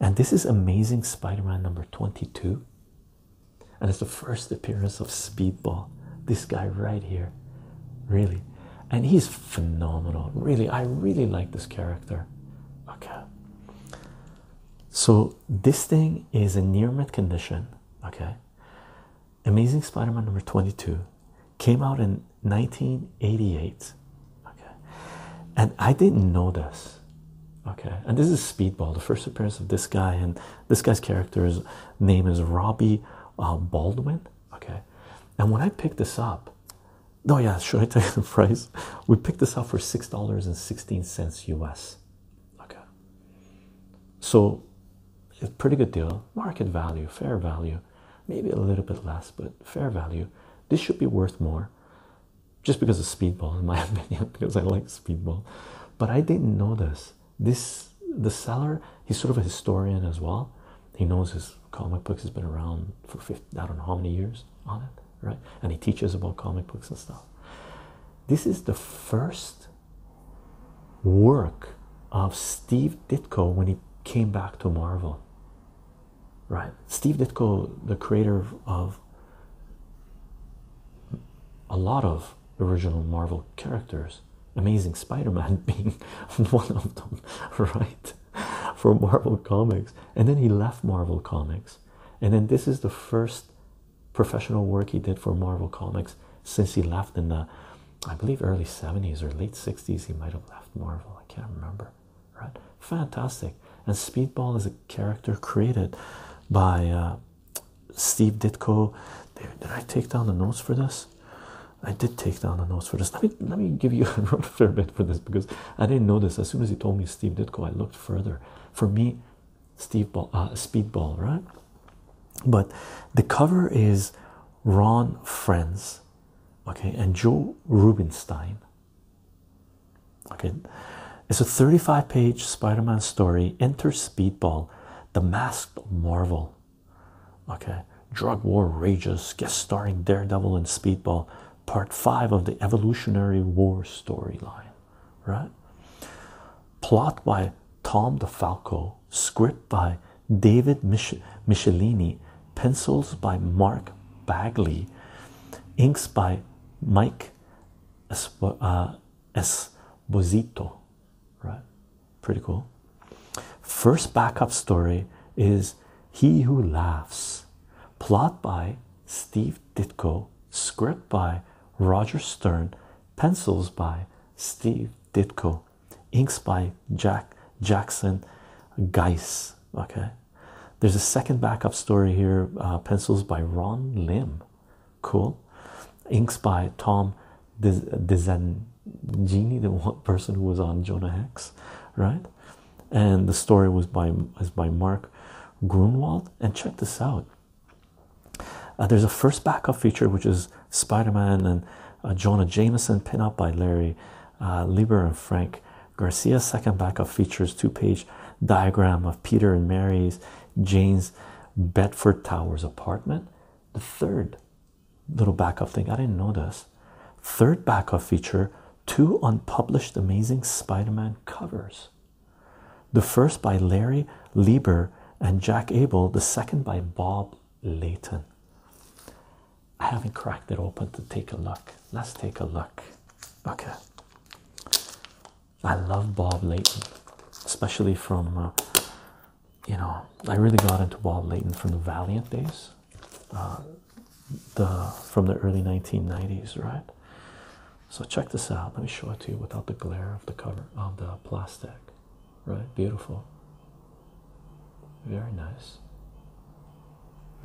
And this is Amazing Spider Man number 22. And it's the first appearance of Speedball. This guy right here. Really. And he's phenomenal. Really, I really like this character okay so this thing is in near mint condition okay amazing spider-man number 22 came out in 1988 okay and i didn't know this okay and this is speedball the first appearance of this guy and this guy's character's name is robbie uh, baldwin okay and when i picked this up Oh yeah, should I tell you the price? We picked this up for six dollars and sixteen cents US. Okay. So it's pretty good deal. Market value, fair value, maybe a little bit less, but fair value. This should be worth more. Just because of speedball, in my opinion, because I like speedball. But I didn't know this. This the seller, he's sort of a historian as well. He knows his comic books has been around for 50, I don't know how many years on it, right? And he teaches about comic books and stuff. This is the first work of Steve Ditko when he came back to Marvel, right? Steve Ditko, the creator of a lot of original Marvel characters, Amazing Spider Man being one of them, right? for Marvel Comics, and then he left Marvel Comics. And then this is the first professional work he did for Marvel Comics since he left in the, I believe, early 70s or late 60s. He might have left Marvel, I can't remember. Right? Fantastic. And Speedball is a character created by uh, Steve Ditko. Did I take down the notes for this? I did take down the notes for this. Let me let me give you a fair bit for this because I didn't know this. As soon as he told me Steve Ditko, I looked further. For me, Steve Ball, uh, Speedball, right? But the cover is Ron Friends, okay, and Joe Rubinstein. Okay, it's a 35 page Spider Man story. Enter Speedball, the masked Marvel. Okay, drug war rages, guest starring Daredevil and Speedball part five of the Evolutionary War storyline, right? Plot by Tom DeFalco, script by David Mich pencils by Mark Bagley, inks by Mike uh, Esposito, right? Pretty cool. First backup story is He Who Laughs, Plot by Steve Ditko, script by Roger Stern, pencils by Steve Ditko, inks by Jack Jackson Geis. Okay, there's a second backup story here. Uh, pencils by Ron Lim, cool. Inks by Tom Dizangini, the person who was on Jonah Hex, right? and the story was by is by Mark Grunwald. And check this out. Uh, there's a first backup feature which is Spider-Man and uh, Jonah Jameson pin up by Larry uh, Lieber and Frank Garcia's second backup features two-page diagram of Peter and Mary's Jane's Bedford Towers apartment. The third little backup thing I didn't know this Third backup feature two unpublished Amazing Spider Man covers. The first by Larry Lieber and Jack Abel, the second by Bob Layton. I haven't cracked it open to take a look. Let's take a look. Okay. I love Bob Layton, especially from, uh, you know, I really got into Bob Layton from the Valiant days. Uh, the from the early 1990s, right? So check this out. Let me show it to you without the glare of the cover of the plastic, right? Beautiful. Very nice.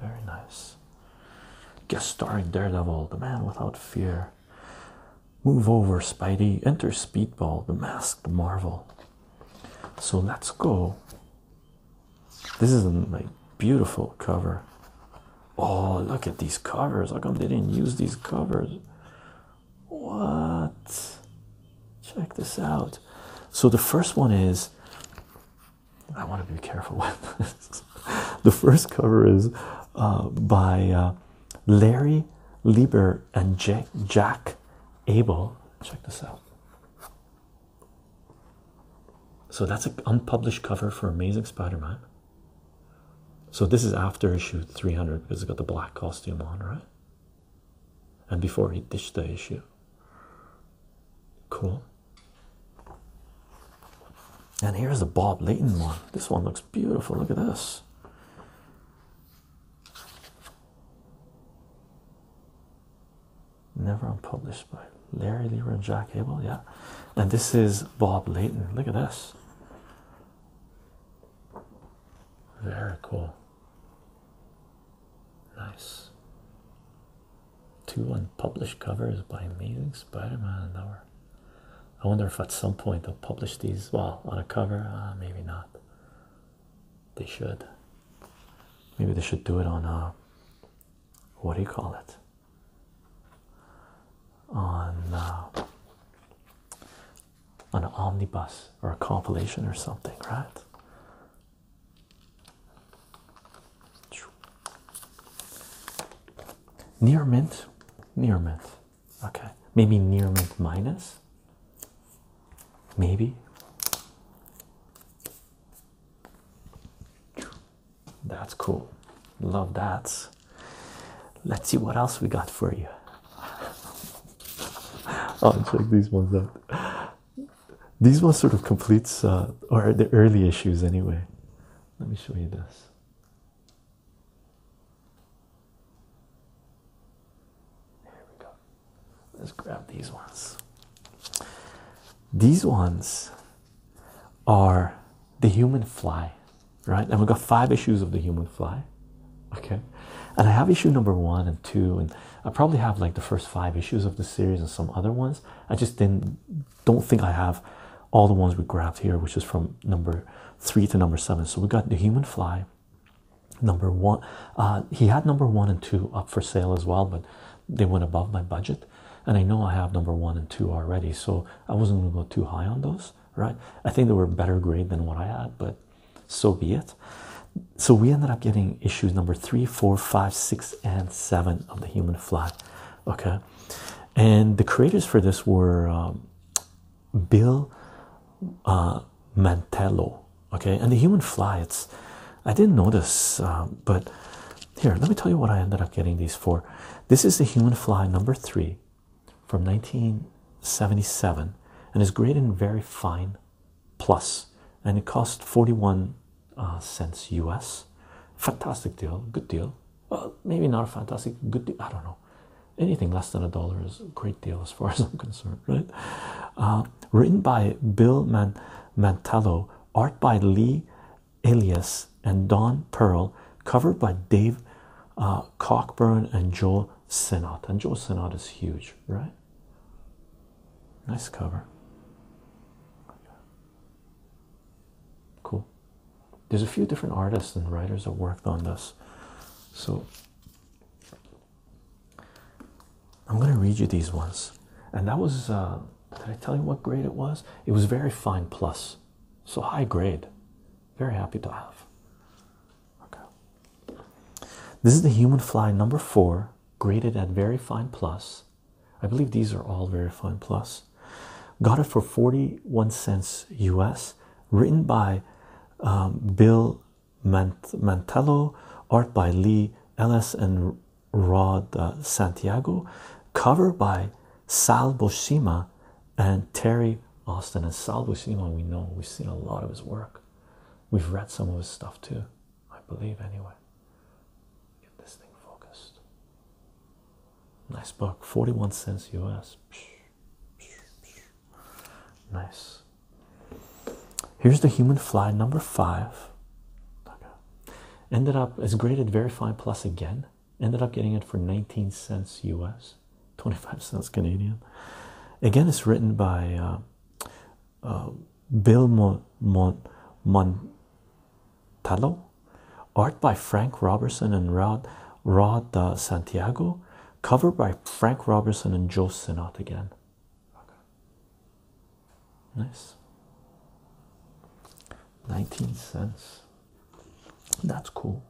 Very nice. Guest starring Daredevil, the man without fear. Move over, Spidey. Enter Speedball, the masked Marvel. So let's go this is a beautiful cover. Oh, look at these covers. How come they didn't use these covers? What? Check this out. So, the first one is I want to be careful with this. The first cover is uh, by uh, Larry Lieber and Jack Abel. Check this out. So that's an unpublished cover for Amazing Spider-Man. So this is after issue 300 because it's got the black costume on, right? And before he ditched the issue. Cool. And here's the Bob Leighton one. This one looks beautiful. Look at this never unpublished by Larry Lever and Jack Abel. Yeah, and this is Bob Leighton. Look at this. Very cool. Nice. Two unpublished covers by Amazing Spider-Man. Hour. I wonder if at some point they'll publish these. Well, on a cover, uh, maybe not. They should. Maybe they should do it on a uh, what do you call it? Uh, on an omnibus or a compilation or something, right? Near mint, near mint. Okay, maybe near mint minus. Maybe that's cool. Love that. Let's see what else we got for you. Oh, will check these ones out. These ones sort of completes uh, or the early issues anyway. Let me show you this. There we go. Let's grab these ones. These ones are The Human Fly, right? And we've got five issues of The Human Fly, okay? And I have issue number one and two, and I probably have like the first five issues of the series and some other ones. I just didn't, don't think I have all the ones we grabbed here, which is from number three to number seven. So we got The Human Fly. Number one, uh, he had number one and two up for sale as well, but they went above my budget and i know i have number one and two already so i wasn't going to go too high on those right i think they were better grade than what i had but so be it so we ended up getting issues number three four five six and seven of the human flag okay and the creators for this were um, bill uh, mantello okay and the human fly it's I didn't notice, uh, but here, let me tell you what I ended up getting these for. This is the Human Fly number three from 1977 and is graded in very fine plus, and it cost 41 uh, cents US. Fantastic deal, good deal. Well, maybe not a fantastic good deal, I don't know. Anything less than a dollar is a great deal as far as I'm concerned, right? Uh, written by Bill Man Mantello, art by Lee Ilias and Don Pearl, covered by Dave uh, Cockburn and Joe Sinnott. And Joe Sinnott is huge, right? Nice cover. Cool. There's a few different artists and writers that worked on this. So I'm going to read you these ones. And that was uh, did I tell you what grade it was? It was very fine plus, so high grade. Very happy to have. Okay. This is the human fly number four, graded at very fine plus. I believe these are all very fine plus. Got it for 41 cents US, written by um, Bill Mantello, art by Lee Ellis and Rod uh, Santiago, cover by Sal Boshima and Terry Austin. And Sal Boshima, we know we've seen a lot of his work, we've read some of his stuff too, I believe, anyway. Get this thing focused. Nice book, 41 cents US. Nice. Here's the human fly number five. Ended up as graded verified plus again. Ended up getting it for 19 cents US, 25 cents Canadian. Again, it's written by uh, uh, Bill Mon art by Frank Robertson and Rod uh, Santiago, cover by Frank Robertson and Joe Sinnott again. Nice. 19 cents. That's cool.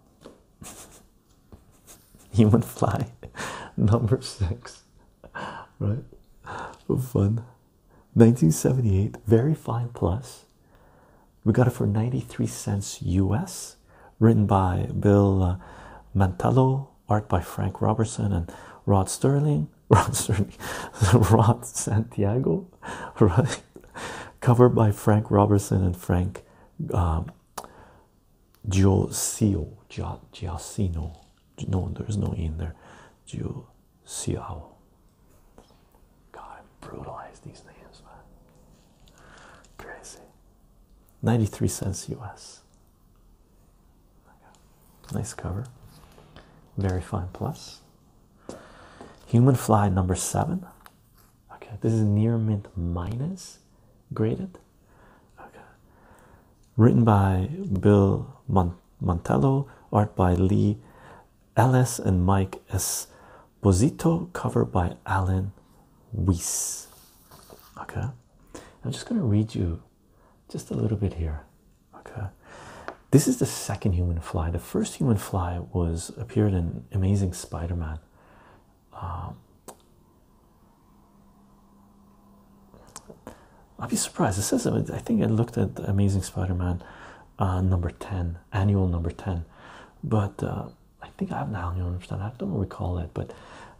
Human fly number six, right? Fun 1978 very fine plus. We got it for 93 cents US, written by Bill uh, Mantello, art by Frank Robertson and Rod Sterling. Sterling, Ron Santiago, right? Cover by Frank Robertson and Frank Gio um, Gio Giacino. No, there's no in there. Giosio. God, I brutalized these names, man. Crazy. 93 cents US. Nice cover. Very fine plus. Human fly number seven. Okay, this is near mint minus graded. Okay. Written by Bill Mont Montello, art by Lee Ellis and Mike S. Esposito, cover by Alan Weiss. Okay, I'm just going to read you just a little bit here Okay, this is the second human fly. The first human fly was appeared in Amazing Spider-Man. Um, I'll be surprised. It says I think I looked at Amazing Spider-Man uh, number ten, annual number ten, but uh, I think I have an annual number ten. I don't recall it, but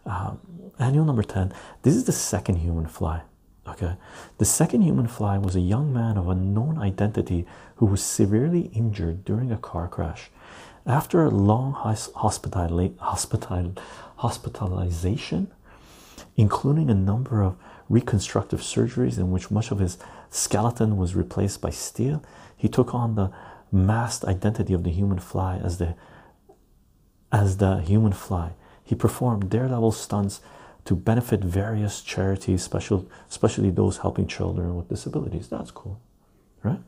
um, annual number ten. This is the second human fly. Okay, the second human fly was a young man of unknown identity who was severely injured during a car crash. After a long hospital hospital hospitalization, including a number of reconstructive surgeries in which much of his skeleton was replaced by steel, he took on the masked identity of the human fly as the as the human fly he performed daredevil stunts to benefit various charities, special, especially those helping children with disabilities. That's cool, right?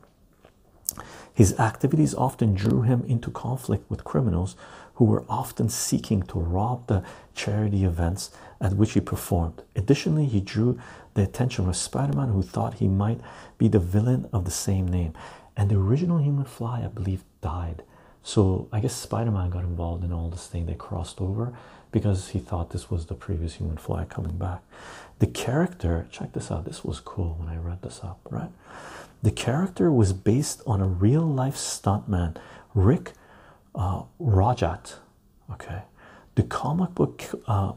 His activities often drew him into conflict with criminals who were often seeking to rob the charity events at which he performed. Additionally, he drew the attention of Spider Man, who thought he might be the villain of the same name. And the original human fly, I believe, died so I guess Spider-Man got involved in all this thing. They crossed over because he thought this was the previous human Fly coming back. The character, check this out. This was cool when I read this up, right? The character was based on a real-life stuntman, Rick uh, Rajat. Okay, the comic book uh,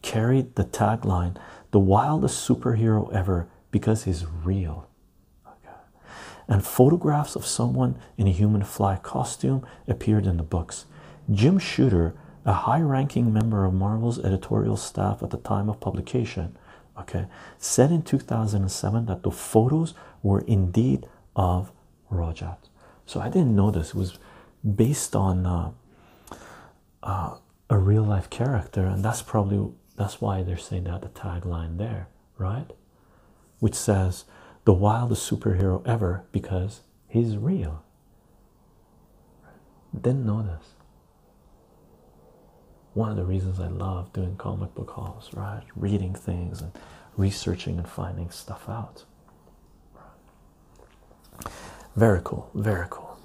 carried the tagline, "The wildest superhero ever," because he's real. Okay. And photographs of someone in a human fly costume appeared in the books. Jim Shooter, a high-ranking member of Marvel's editorial staff at the time of publication, okay, said in 2007 that the photos were indeed of Rajat. So I didn't know this. It was based on uh, uh, a real-life character, and that's probably that's why they're saying that the tagline there right? Which says the wildest superhero ever because he's real. Didn't know this. One of the reasons I love doing comic book halls, right? Reading things and researching and finding stuff out. Very cool, very cool.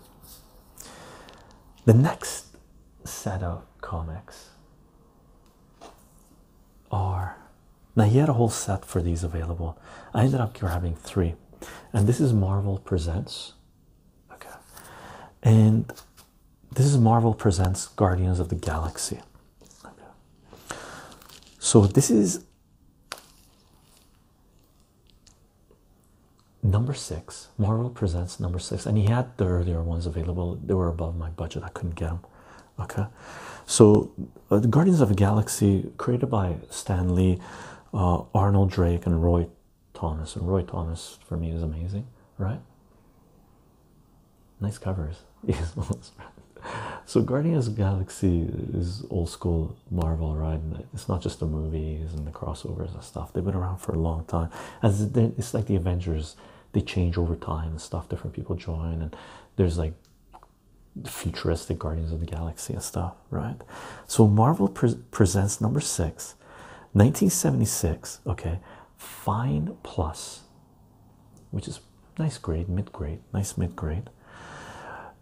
The next set of comics are now he had a whole set for these available. I ended up grabbing three, and this is Marvel Presents. Okay, and this is Marvel Presents Guardians of the Galaxy. So this is number six. Marvel Presents number six, and he had the earlier ones available. They were above my budget. I couldn't get them. Okay, so the uh, Guardians of the Galaxy, created by Stan Lee, uh, Arnold Drake, and Roy Thomas. And Roy Thomas for me is amazing, right? Nice covers. so Guardians of the Galaxy is old school Marvel, right? It's not just the movies and the crossovers and stuff. They've been around for a long time. As it's like the Avengers they change over time and stuff. Different people join, and there's like futuristic Guardians of the Galaxy and stuff, right? So Marvel presents number six, 1976. Okay, Fine Plus, which is nice grade, mid grade, nice mid grade.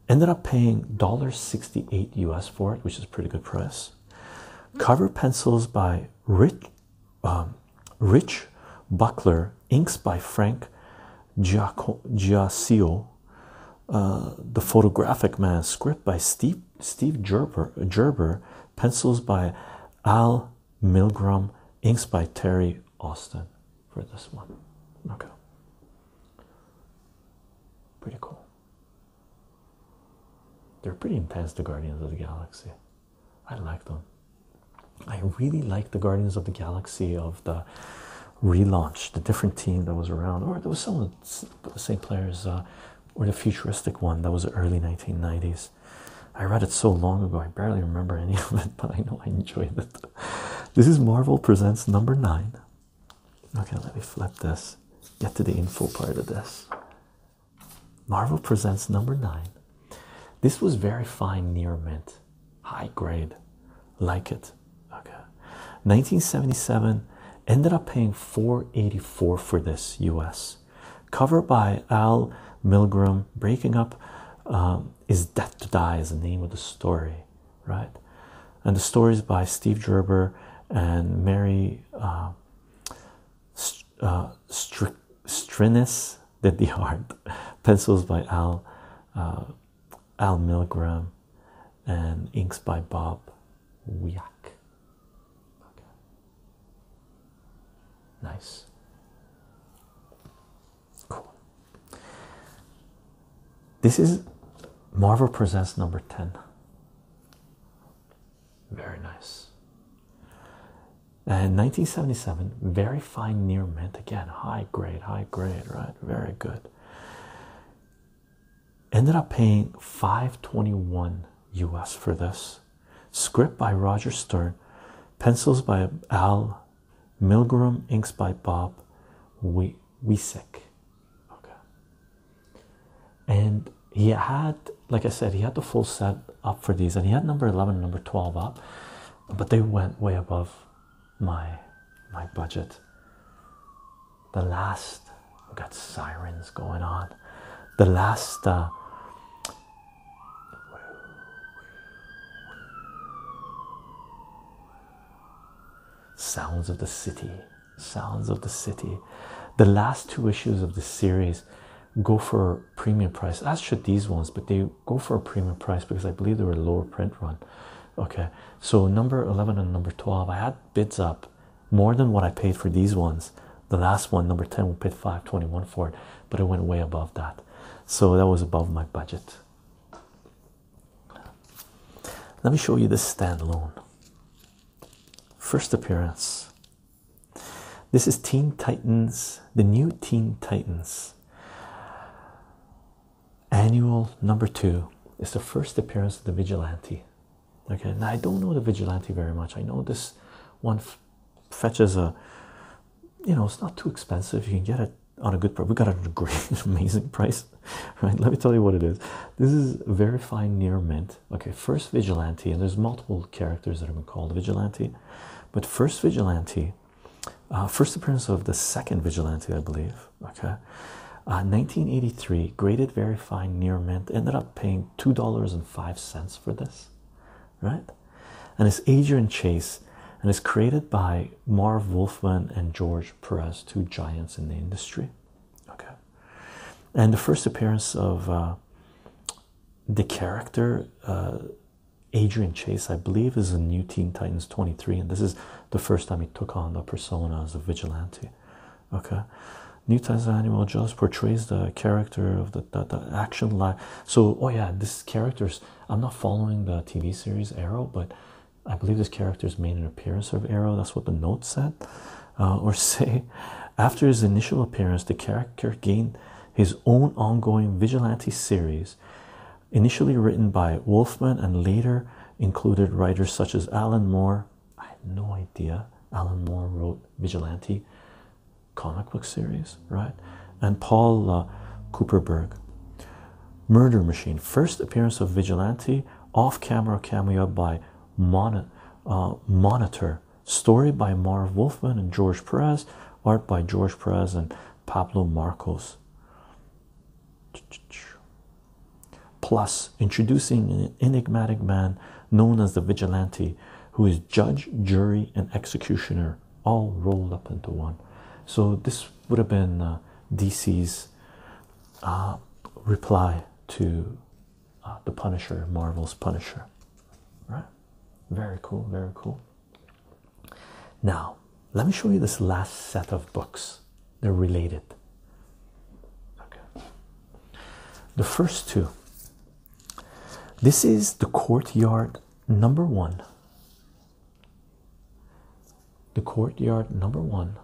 Ended up paying $1.68 US for it, which is pretty good price. Cover pencils by Rick um, Rich Buckler, inks by Frank Giac uh, the photographic man, script by Steve Steve Gerber, pencils by Al Milgram, inks by Terry Austin for this one. Okay, pretty cool. They're pretty intense, the Guardians of the Galaxy. I like them. I really like the Guardians of the Galaxy of the relaunch, the different team that was around, or there was some the same players, uh, or the futuristic one that was early 1990s. I read it so long ago, I barely remember any of it, but I know I enjoyed it. This is Marvel Presents number nine. Okay, let me flip this, get to the info part of this. Marvel Presents number nine. This was very fine near mint, high grade, like it. Okay. 1977 ended up paying 484 for this US. Cover by Al Milgram. Breaking up um, is Death to Die is the name of the story, right? And the story is by Steve Gerber and Mary uh, uh Strinis did the art. Pencils by Al uh, Al Milgram and inks by Bob Wiak. Nice. Cool. This is Marvel Presents number 10. Very nice. And uh, 1977, very fine near mint again, high grade, high grade, right? Very good. Ended up paying 521 US for this. Script by Roger Stern, pencils by Al Milgram, inks by Bob Weisek. Okay. And he had, like I said, he had the full set up for these, and he had number 11 number 12 up but they went way above my my budget. The last got sirens going on. The last uh, sounds of the city, sounds of the city. The last two issues of the series go for premium price as should these ones but they go for a premium price because i believe they were a lower print run okay so number 11 and number 12 i had bids up more than what i paid for these ones the last one number 10 we paid 521 for it but it went way above that so that was above my budget let me show you this standalone first appearance this is teen titans the new teen titans Annual number two is the first appearance of the vigilante. Okay, now I don't know the vigilante very much. I know this one fetches a, you know, it's not too expensive. You can get it on a good price. We got a great, amazing price, right? Let me tell you what it is. This is very fine near mint. Okay, first vigilante, and there's multiple characters that have been called vigilante, but first vigilante uh, first appearance of the second vigilante, I believe. Okay, 1983, uh, graded, very fine, near mint. Ended up paying two dollars and five cents for this, right? And it's Adrian Chase, and it's created by Marv Wolfman and George Perez, two giants in the industry. Okay, and the first appearance of uh, the character. Adrian Chase, I believe, is a new Teen Titans 23, and this is the first time he took on the persona of a vigilante. Okay, New Titans Animal Jaws portrays the character of the, the, action line. So, oh, yeah, this character's I'm not following the TV series Arrow, but I believe this character's made an appearance of Arrow. That's what the note said, uh, or say, after his initial appearance, the character gained his own ongoing vigilante series initially written by Wolfman and later included writers such as Alan Moore. I had no idea Alan Moore wrote Vigilante comic book series, right? And Paul uh, Cooperberg. Murder Machine, first appearance of Vigilante, off-camera cameo by uh, Monitor, story by Marv Wolfman and George Perez, art by George Perez and Pablo Marcos. Plus, introducing an enigmatic man known as the vigilante, who is judge, jury, and executioner, all rolled up into one. So, this would have been uh, DC's uh, reply to uh, the Punisher, Marvel's Punisher. Right? Very cool, very cool. Now, let me show you this last set of books. They're related. Okay. The first two. This is The Courtyard Number One. The Courtyard Number One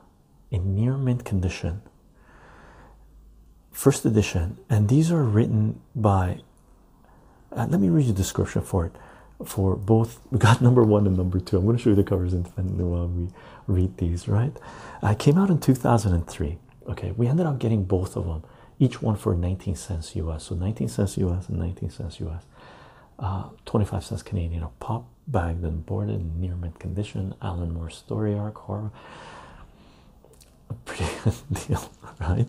in near mint condition. First edition, and these are written by uh, let me read you the description for it. For both, we got number one and number two. I'm going to show you the covers independently while we read these, right? Uh, came out in 2003. Okay, we ended up getting both of them, each one for 19 cents US. So 19 cents US and 19 cents US. Uh, 25 cents Canadian. A pop bagged and boarded in near mint condition. Alan Moore story arc horror. A pretty good deal. right?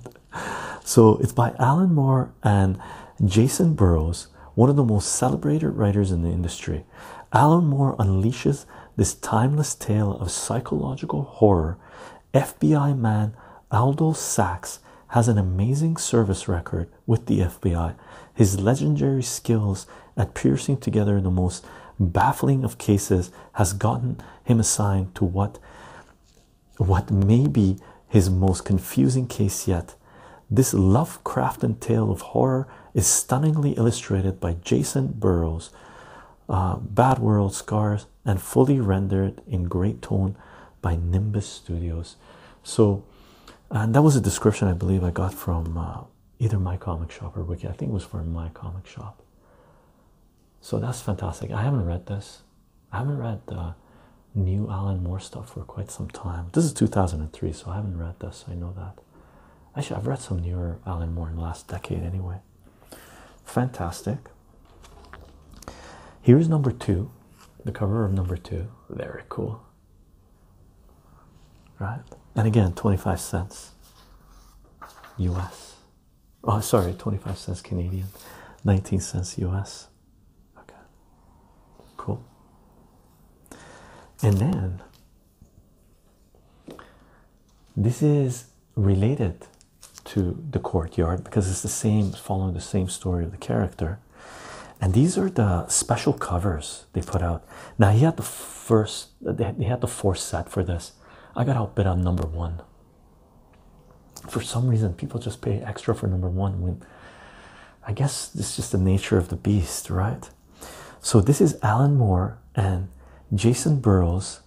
So it's by Alan Moore and Jason Burrows, one of the most celebrated writers in the industry. Alan Moore unleashes this timeless tale of psychological horror. FBI man Aldo Sachs has an amazing service record with the FBI. His legendary skills at piercing together the most baffling of cases has gotten him assigned to what what may be his most confusing case yet. This Lovecraftian tale of horror is stunningly illustrated by Jason Burrows, uh, Bad World Scars, and fully rendered in great tone by Nimbus Studios. So, and that was a description I believe I got from uh, either my comic shop or wiki. I think it was from my comic shop. So that's fantastic. I haven't read this. I haven't read the new Alan Moore stuff for quite some time. This is 2003, so I haven't read this. I know that. Actually, I've read some newer Alan Moore in the last decade anyway. Fantastic. Here's number two, the cover of number two. Very cool. Right? And again, 25 cents US. Oh, sorry, 25 cents Canadian, 19 cents US. Okay, cool. And then this is related to the courtyard because it's the same, following the same story of the character. And these are the special covers they put out. Now he had the first, they had the fourth set for this. I got outbid on number one for some reason people just pay extra for number one I guess this is just the nature of the beast, right? So this is Alan Moore and Jason Burrows,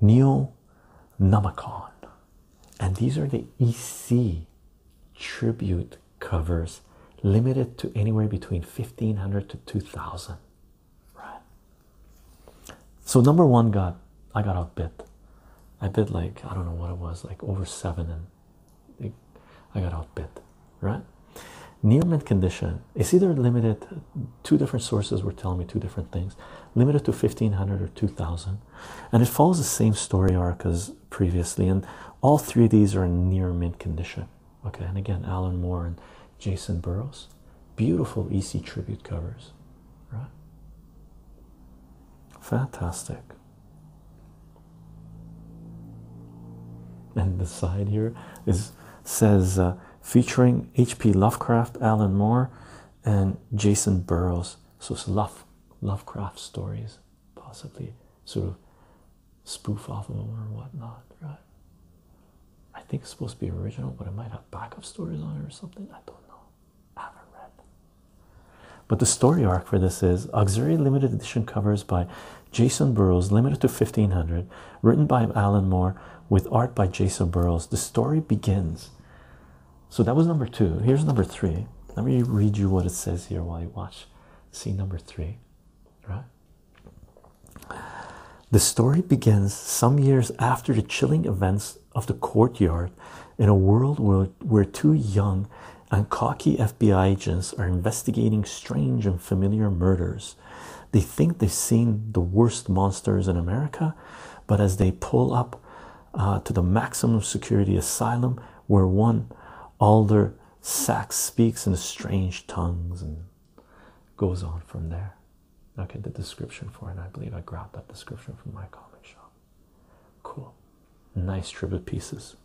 Neil Namakon, and these are the EC tribute covers limited to anywhere between 1500 to 2000 right so number one got i got outbid I bid like I don't know what it was, like over seven, and I got outbid, right? Near mint condition. It's either limited. Two different sources were telling me two different things. Limited to fifteen hundred or two thousand, and it follows the same story arc as previously. And all three of these are near mint condition. Okay, and again, Alan Moore and Jason Burrows, beautiful EC tribute covers right? Fantastic. And the side here is says uh, featuring H.P. Lovecraft, Alan Moore, and Jason Burrows. So it's Love Lovecraft stories, possibly sort of spoof off of them or whatnot, right? I think it's supposed to be original, but it might have backup stories on it or something. I don't know. But the story arc for this is auxiliary limited edition covers by Jason Burrows, limited to 1500, written by Alan Moore with art by Jason Burrows. The story begins. So that was number two. Here's number three. Let me read you what it says here while you watch. See number three, right? The story begins some years after the chilling events of the courtyard in a world where, where two young and cocky FBI agents are investigating strange and familiar murders. They think they've seen the worst monsters in America, but as they pull up uh, to the maximum security asylum, where one Alder Sachs speaks in strange tongues and goes on from there. Okay, the description for it, I believe I grabbed that description from my comic shop. Cool, nice triple pieces.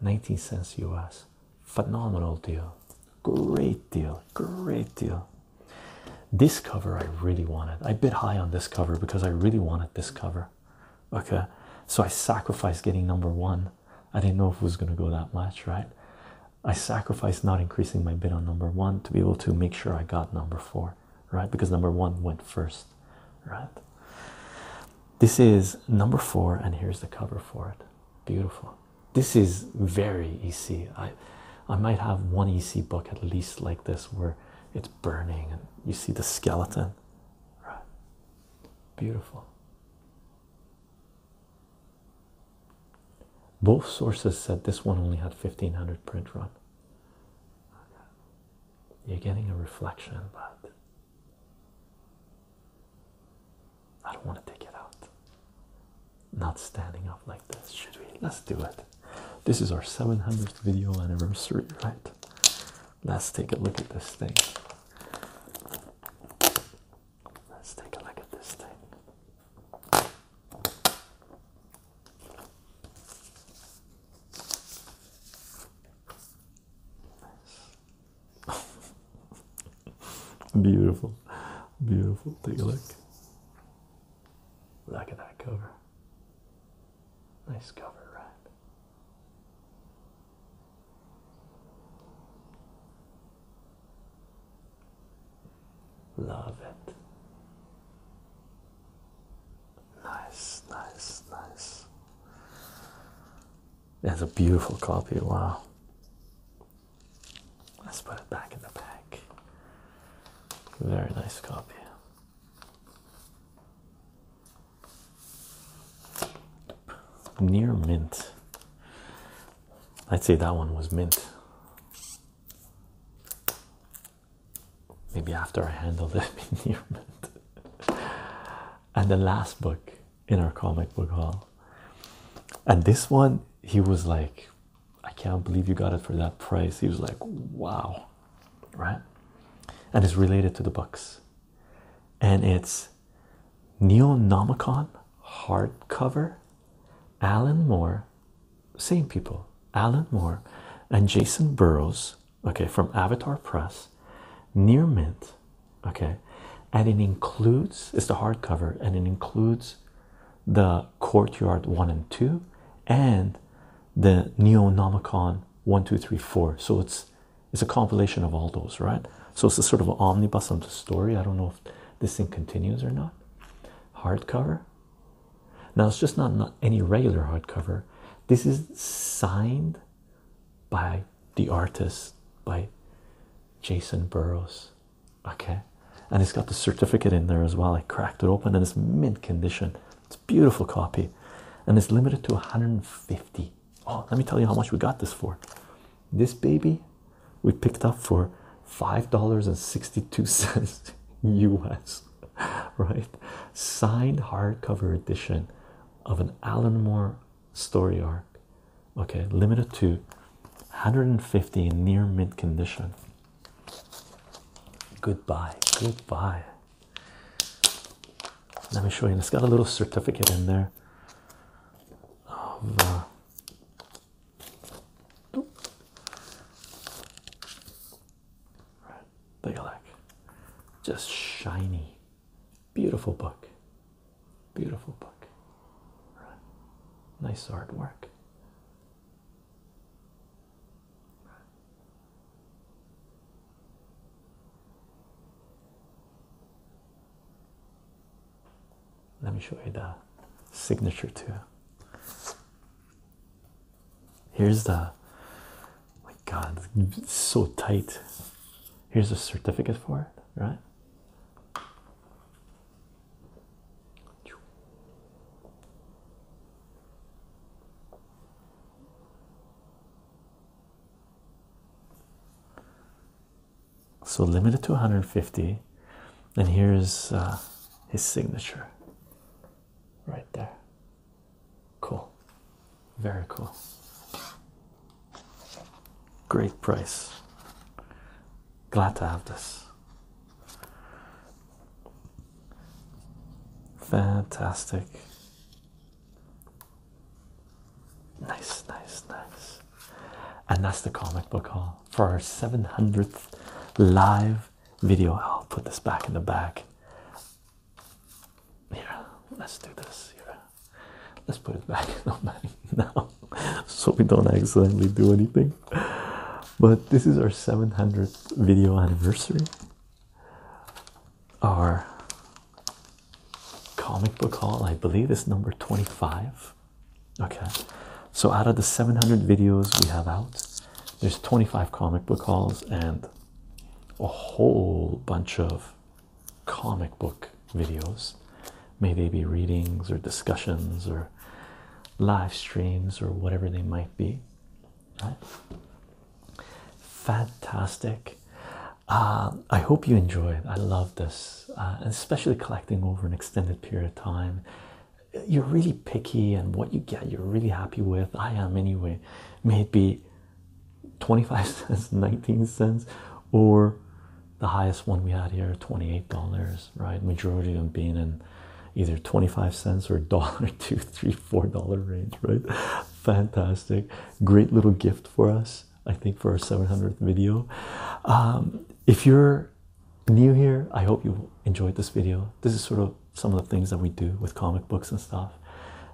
19 cents US. Phenomenal deal. Great deal. Great deal. This cover I really wanted. I bit high on this cover because I really wanted this cover. Okay, so I sacrificed getting number one. I didn't know if it was going to go that much, right? I sacrificed not increasing my bid on number one to be able to make sure I got number four right? Because number one went first, right? This is number four, and here's the cover for it. Beautiful. This is very EC. I I might have one EC book at least like this where it's burning and you see the skeleton. Right. Beautiful. Both sources said this one only had 1500 print run. You're getting a reflection, but I don't want to take it out. Not standing up like this, should we? Let's do it. This is our 700th video anniversary, right? Let's take a look at this thing. Let's take a look at this thing. beautiful, beautiful. Take a look. Look at that cover. Nice cover, right? Love it. Nice, nice, nice. It's a beautiful copy. Wow. Let's put it back in the bag. Very nice copy. Near mint. I'd say that one was mint maybe after I handled it and the last book in our comic book haul and this one he was like I can't believe you got it for that price he was like wow right and it's related to the books and it's Nomicon* hardcover Alan Moore same people Alan Moore and Jason Burrows okay, from Avatar Press, near mint, okay, and it includes it's the hardcover and it includes the Courtyard one and two and the Neonomicon one, two, three, four. So it's it's a compilation of all those, right? So it's a sort of omnibus of the story. I don't know if this thing continues or not. Hardcover, now it's just not, not any regular hardcover. This is signed by the artist by Jason Burrows. Okay. And it's got the certificate in there as well. I cracked it open and it's mint condition. It's a beautiful copy. And it's limited to 150. Oh, let me tell you how much we got this for. This baby we picked up for $5.62 US. right? Signed hardcover edition of an Alan Moore story arc, okay, limited to 150 in near mint condition. Goodbye, goodbye. Let me show you. it's got a little certificate in there uh, Take a look. Just shiny. Beautiful book. Beautiful book. Right. Nice artwork. Let me show you the signature too. Here's the my god, it's so tight. Here's the certificate for it, right? So limited to 150, and here's uh, his signature right there. Cool, very cool. Great price. Glad to have this. Fantastic. Nice, nice, nice. And that's the comic book haul for our 700th live video. I'll put this back in the back. Yeah, let's do this Let's put it back in the now so we don't accidentally do anything. But this is our 700th video anniversary. Our comic book haul, I believe, is number 25. Okay, so out of the 700 videos we have out, there's 25 comic book hauls and a whole bunch of comic book videos, may they be readings or discussions or live streams or whatever they might be. Right? Fantastic. Uh, I hope you enjoyed. I love this, uh, especially collecting over an extended period of time. You're really picky, and what you get, you're really happy with. I am anyway may it be 25 cents 19 cents or the highest one we had here $28 right majority of them being in either 25 cents or dollar two three four dollar range right fantastic great little gift for us i think for our 700th video um, if you're new here i hope you enjoyed this video this is sort of some of the things that we do with comic books and stuff.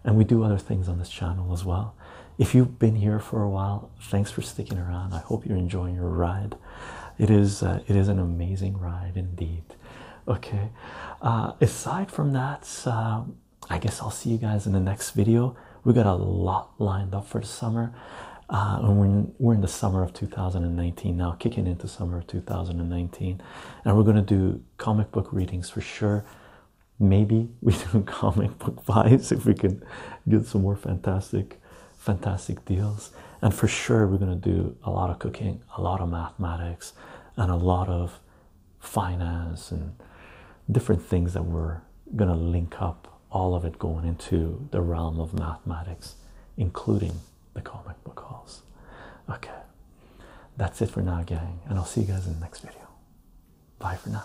And we do other things on this channel as well. If you've been here for a while, thanks for sticking around. I hope you're enjoying your ride. It is uh, it is an amazing ride indeed. Okay. Uh, aside from that, uh, I guess I'll see you guys in the next video. We got a lot lined up for the summer. and we're we're in the summer of 2019 now, kicking into summer of 2019, and we're gonna do comic book readings for sure. Maybe we do comic book buys if we can get some more fantastic, fantastic deals. And for sure, we're going to do a lot of cooking, a lot of mathematics, and a lot of finance and different things that we're going to link up all of it going into the realm of mathematics, including the comic book halls. Okay, that's it for now, gang, and I'll see you guys in the next video. Bye for now.